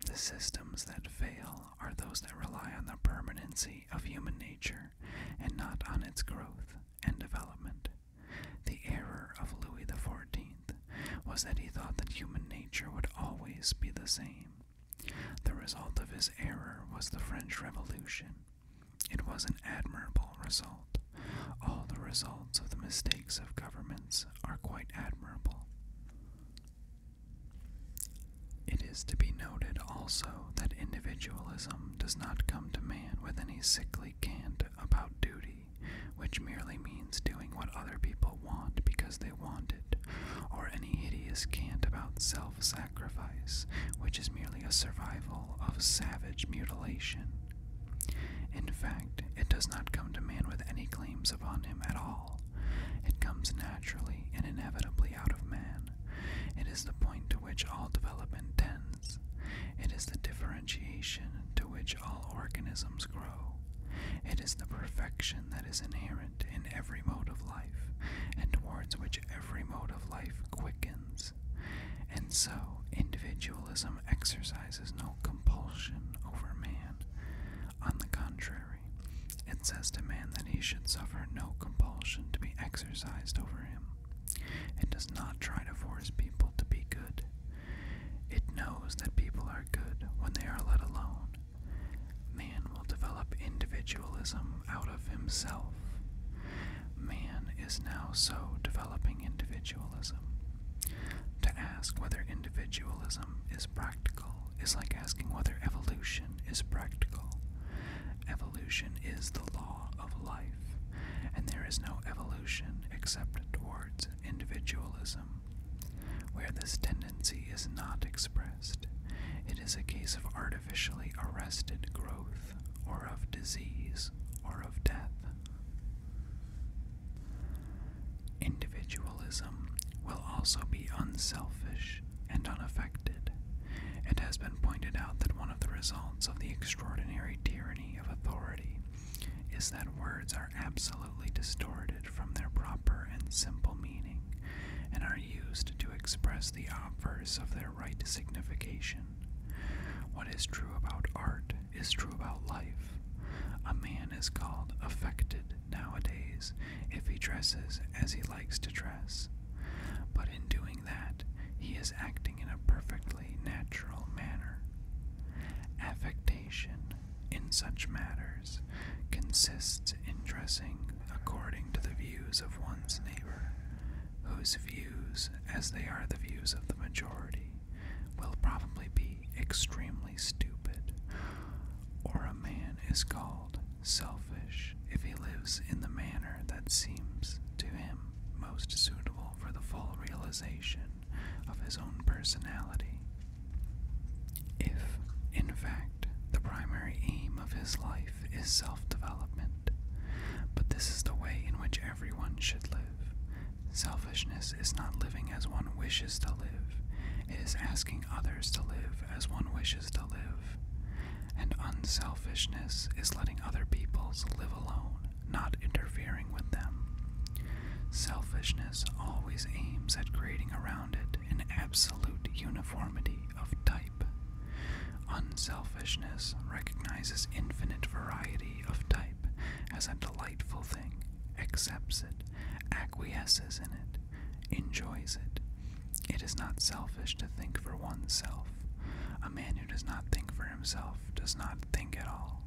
The systems that fail are those that rely on the permanency of human nature and not on its growth and development. The error of Louis XIV was that he thought that human nature would always be the same. The result of his error was the French Revolution. It was an admirable result. All the results of the mistakes of governments are quite admirable. It is to be noted also that individualism does not come to man with any sickly cant about duty which merely means doing what other people want because they want it, or any hideous cant about self sacrifice, which is merely a survival of savage mutilation. In fact, it does not come to man with any claims upon him at all. It comes naturally and inevitably out of man. It is the point to which all development tends. It is the differentiation to which all organisms grow. It is the perfection that is inherent in every mode of life, and towards which every mode of life quickens. And so, individualism exercises no compulsion over man. On the contrary, it says to man that he should suffer no compulsion to be exercised over him. It does not try to force people to be good. It knows that people are good when they are let alone. Man will develop individualism out of himself. Man is now so developing individualism. To ask whether individualism is practical is like asking whether evolution is practical. Evolution is the law of life, and there is no evolution except towards individualism where this tendency is not expressed, it is a case of artificially arrested growth, or of disease, or of death. Individualism will also be unselfish and unaffected. It has been pointed out that one of the results of the extraordinary tyranny of authority is that words are absolutely distorted from their proper and simple meaning and are used to express the obverse of their right signification. What is true about art is true about life. A man is called affected nowadays if he dresses as he likes to dress, but in doing that, he is acting in a perfectly natural manner. Affectation in such matters consists in dressing according to the views of one's neighbor, whose views, as they are the views of the majority, will probably be extremely stupid, or a man is called selfish if he lives in the manner that seems to him most suitable for the full realization of his own personality. If, in fact, the primary aim of his life is self development, but this is the way in which everyone should live. Selfishness is not living as one wishes to live, it is asking others to live as one wishes to live. And unselfishness is letting other peoples live alone, not interfering with them. Selfishness always aims at creating around it an absolute uniformity of type. Unselfishness recognizes infinite variety of type as a delightful thing, accepts it, acquiesces in it, enjoys it. It is not selfish to think for oneself. A man who does not think for himself does not think at all.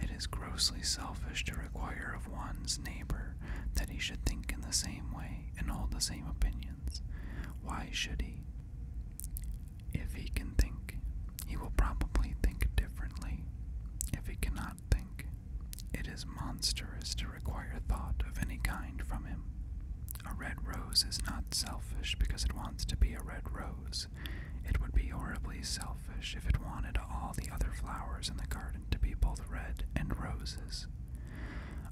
It is grossly selfish to require of one's neighbor that he should think in the same way and hold the same opinions. Why should he? If he can think, he will probably think differently. If he cannot think, it is monstrous to require thought of any kind from him. A red rose is not selfish because it wants to be a red rose. It would be horribly selfish if it wanted all the other flowers in the garden to be both red and roses.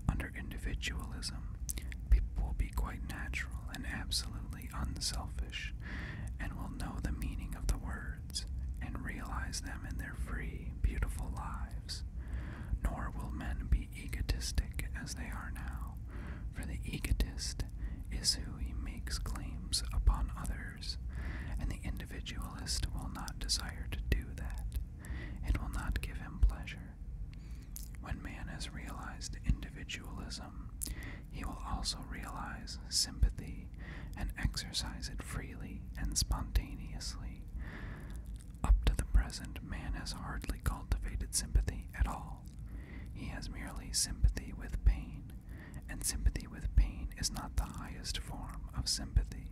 Under individualism, people will be quite natural and absolutely unselfish, and will know the meaning of the words and realize them in their free, beautiful lives. Nor will men be egotistic as they are now, for the egotist is who he makes claims upon others and the individualist will not desire to do that. It will not give him pleasure. When man has realized individualism, he will also realize sympathy and exercise it freely and spontaneously. Up to the present, man has hardly cultivated sympathy at all. He has merely sympathy with pain, and sympathy with pain is not the highest form of sympathy.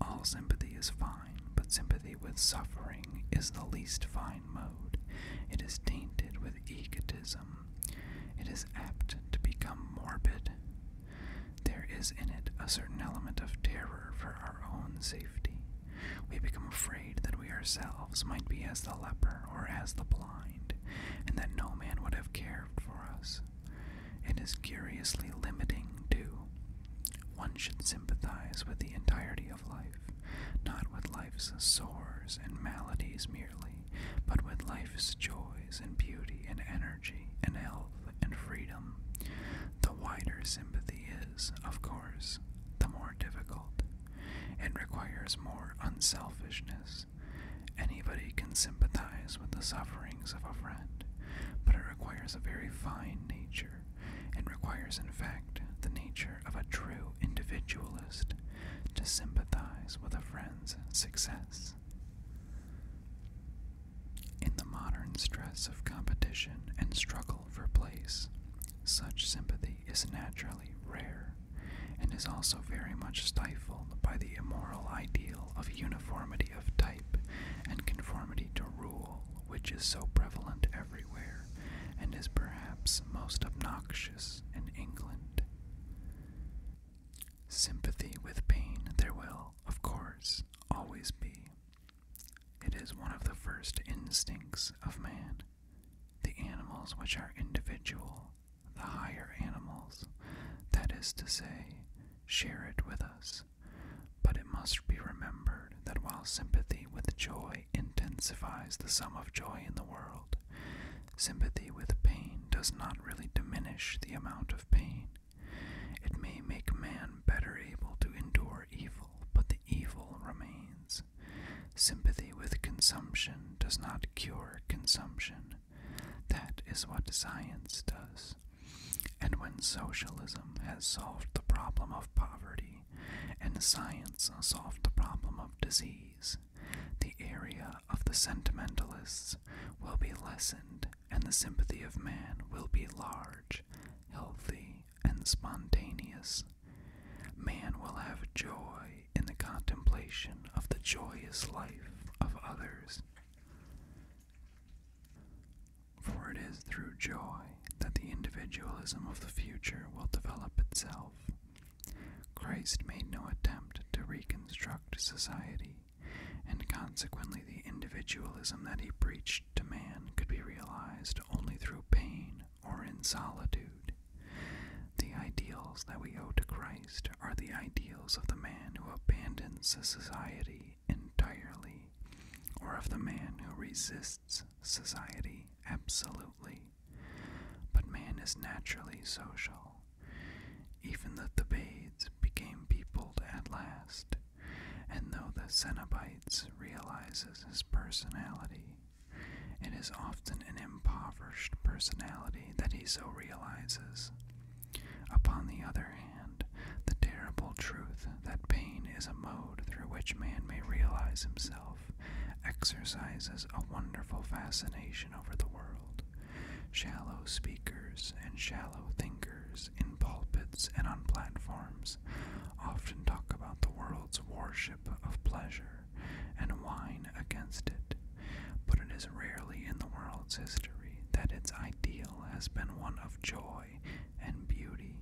All sympathy is fine, but sympathy with suffering is the least fine mode. It is tainted with egotism. It is apt to become morbid. There is in it a certain element of terror for our own safety. We become afraid that we ourselves might be as the leper or as the blind, and that no man would have cared for us, it is curiously limiting, too. One should sympathize with the entirety of life, not with life's sores and maladies merely, but with life's joys and beauty and energy and health and freedom. The wider sympathy is, of course, the more difficult. and requires more unselfishness Anybody can sympathize with the sufferings of a friend, but it requires a very fine nature, and requires, in fact, the nature of a true individualist to sympathize with a friend's success. In the modern stress of competition and struggle for place, such sympathy is naturally rare and is also very much stifled by the immoral ideal of uniformity of type and conformity to rule, which is so prevalent everywhere and is perhaps most obnoxious in England. Sympathy with pain there will, of course, always be. It is one of the first instincts of man. The animals which are individual the higher animals, that is to say, share it with us. But it must be remembered that while sympathy with joy intensifies the sum of joy in the world, sympathy with pain does not really diminish the amount of pain. It may make man better able to endure evil, but the evil remains. Sympathy with consumption does not cure consumption, that is what science does. And when socialism has solved the problem of poverty and science solved the problem of disease, the area of the sentimentalists will be lessened and the sympathy of man will be large, healthy, and spontaneous. Man will have joy in the contemplation of the joyous life of others for it is through joy that the individualism of the future will develop itself. Christ made no attempt to reconstruct society, and consequently, the individualism that he preached to man could be realized only through pain or in solitude. The ideals that we owe to Christ are the ideals of the man who abandons society entirely, or of the man who resists society absolutely. But man is naturally social. Even that the Thebaids became peopled at last, and though the Cenobites realizes his personality, it is often an impoverished personality that he so realizes. Upon the other hand, the terrible truth that pain is a mode through which man may realize himself exercises a wonderful fascination over the world. Shallow speakers and shallow thinkers in pulpits and on platforms often talk about the world's worship of pleasure and whine against it but it is rarely in the world's history that its ideal has been one of joy and beauty.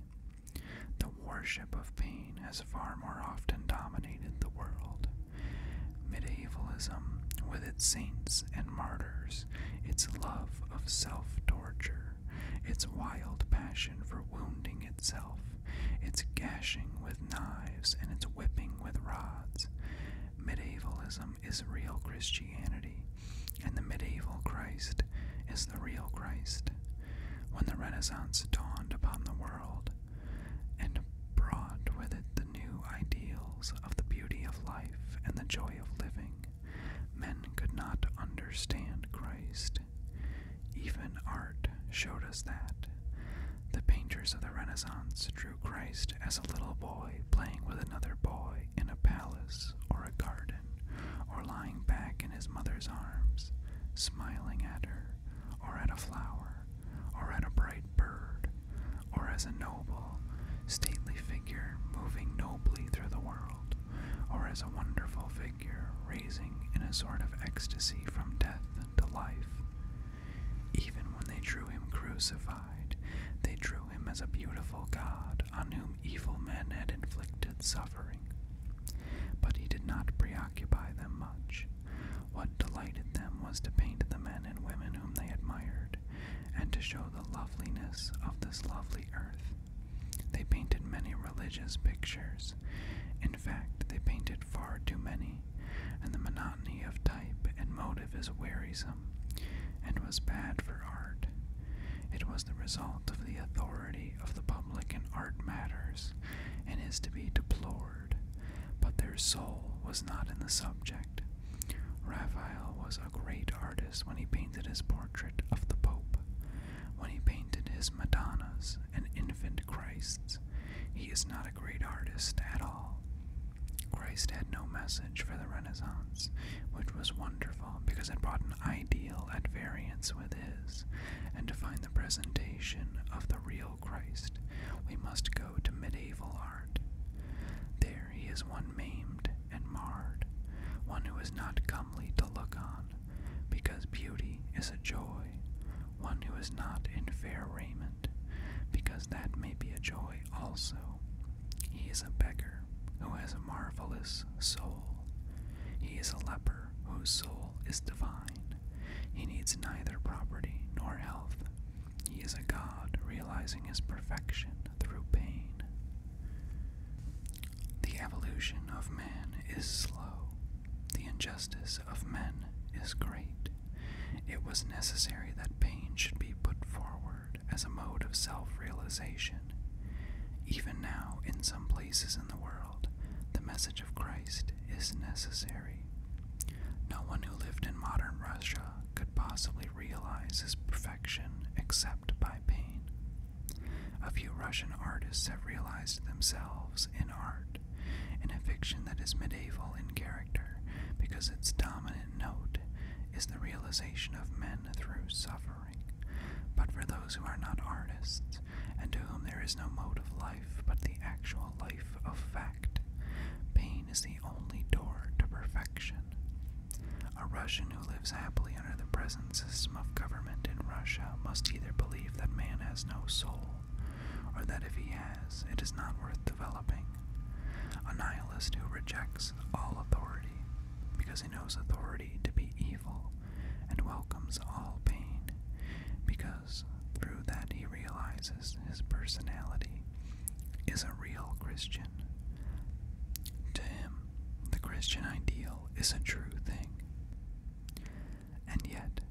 The worship of pain has far more often dominated the world. Medievalism, with its saints and martyrs, its love of self torture, its wild passion for wounding itself, its gashing with knives, and its whipping with rods, medievalism is real Christianity, and the medieval Christ is the real Christ. When the Renaissance dawned upon the world and brought with it the new ideals of the beauty of life and the joy of living, men could not understand Christ. Even art showed us that. The painters of the Renaissance drew. Christ as a little boy playing with another boy in a palace or a garden, or lying back in his mother's arms, smiling at her, or at a flower, or at a bright bird, or as a noble, stately figure moving nobly through the world, or as a wonderful figure raising in a sort of ecstasy from death to life. Even when they drew him crucified, they drew him as a beautiful God on whom evil men had inflicted suffering. But he did not preoccupy them much. What delighted them was to paint the men and women whom they admired, and to show the loveliness of this lovely earth. They painted many religious pictures. In fact, they painted far too many, and the monotony of type and motive is wearisome and was bad for art. It was the result of the authority of the public in art matters and is to be deplored, but their soul was not in the subject. Raphael was a great artist when he painted his portrait of the Pope, when he painted his Madonnas and infant Christs. He is not a great artist at all. Christ had no message for the Renaissance, which was wonderful because it brought an ideal at variance with his, and to find the presentation of the real Christ, we must go to medieval art. There he is one maimed and marred, one who is not comely to look on, because beauty is a joy, one who is not in fair raiment, because that may be a joy also. He is a beggar who has a marvelous soul. He is a leper whose soul is divine. He needs neither property nor health. He is a god realizing his perfection through pain. The evolution of man is slow. The injustice of men is great. It was necessary that pain should be put forward as a mode of self realization. Even now, in some places in the world, the message of Christ is necessary. No one who lived in modern Russia could possibly realize his perfection except by pain. A few Russian artists have realized themselves in art, in a fiction that is medieval in character because its dominant note is the realization of men through suffering. But for those who are not artists, and to whom there is no mode of life but the actual life of fact, pain is the only door to perfection. A Russian who lives happily under the present system of government in Russia must either believe that man has no soul, or that if he has, it is not worth developing. A nihilist who rejects all authority because he knows authority to be evil and welcomes all pain because through that he realizes his personality is a real Christian. To him, the Christian ideal is a true thing. And yet,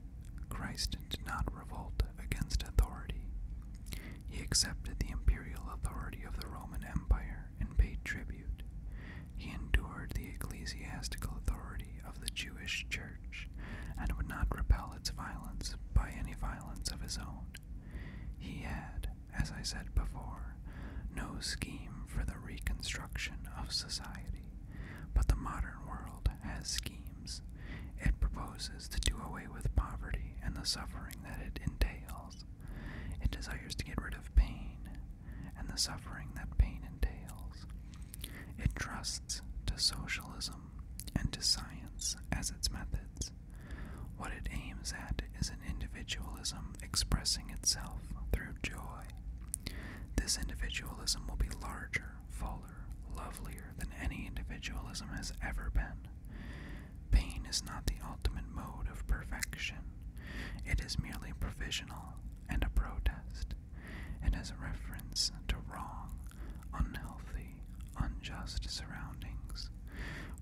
Christ did not revolt against authority. He accepted the imperial authority of the Roman Empire and paid tribute. He endured the ecclesiastical authority of the Jewish Church and would not repel its violence by any violence of his own. He had, as I said before, no scheme for the reconstruction of society, but the modern world has schemes. It proposes to do away with poverty and the suffering that it entails. It desires to get rid of pain and the suffering that pain entails. It trusts to socialism and to science as its methods. What it aims at is an individualism expressing itself through joy. This individualism will be larger, fuller, lovelier than any individualism has ever been. Pain is not the ultimate mode of perfection. It is merely provisional and a protest. It has a reference to wrong, unhealthy, unjust surroundings.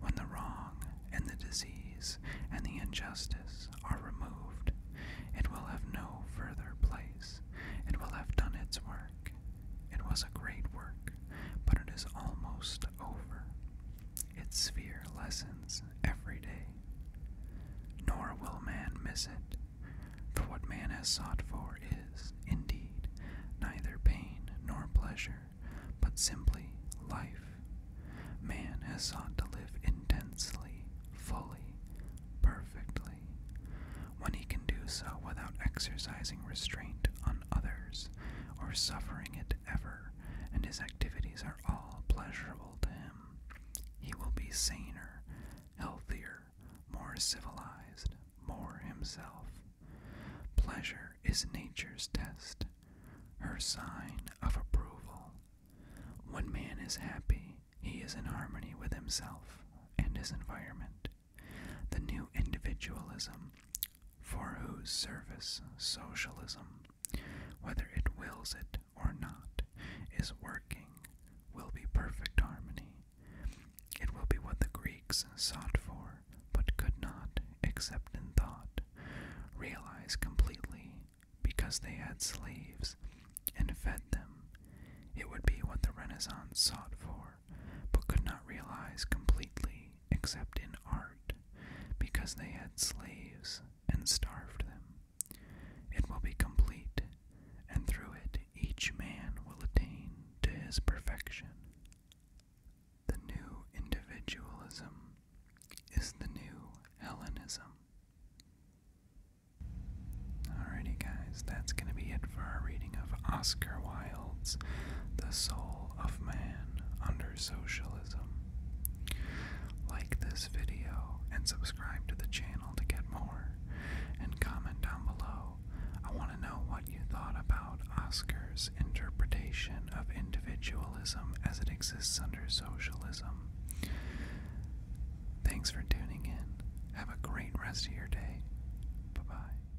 When the wrong and the disease and the injustice are removed, it will have no further place. It will have done its work. It was a great work but it is almost over. Its sphere lessens every day. Nor will man miss it, for what man has sought for is, indeed, neither pain nor pleasure, but simply life. Man has sought to live intensely, fully, perfectly, when he can do so without exercising restraint on others or suffering it ever, and his activities are all pleasurable to him. He will be saner, healthier, more civilized, more himself. Pleasure is nature's test, her sign of approval. When man is happy, he is in harmony with himself and his environment. The new individualism for whose service socialism, whether it wills it or not, is working, will be perfect harmony. It will be what the Greeks sought for, but could not, except in thought, realize completely, because they had slaves and fed them. It would be what the Renaissance sought for, but could not realize completely, except in art, because they had slaves and starved them. It will be complete, and through it each man will attain to his perfection. The new individualism is the new Hellenism. Alrighty, guys, that's going to be it for our reading of Oscar Wilde wilds the soul of man under socialism. Like this video and subscribe to the channel to get more, and comment down below. I want to know what you thought about Oscar's interpretation of individualism as it exists under socialism. Thanks for tuning in. Have a great rest of your day. Bye bye.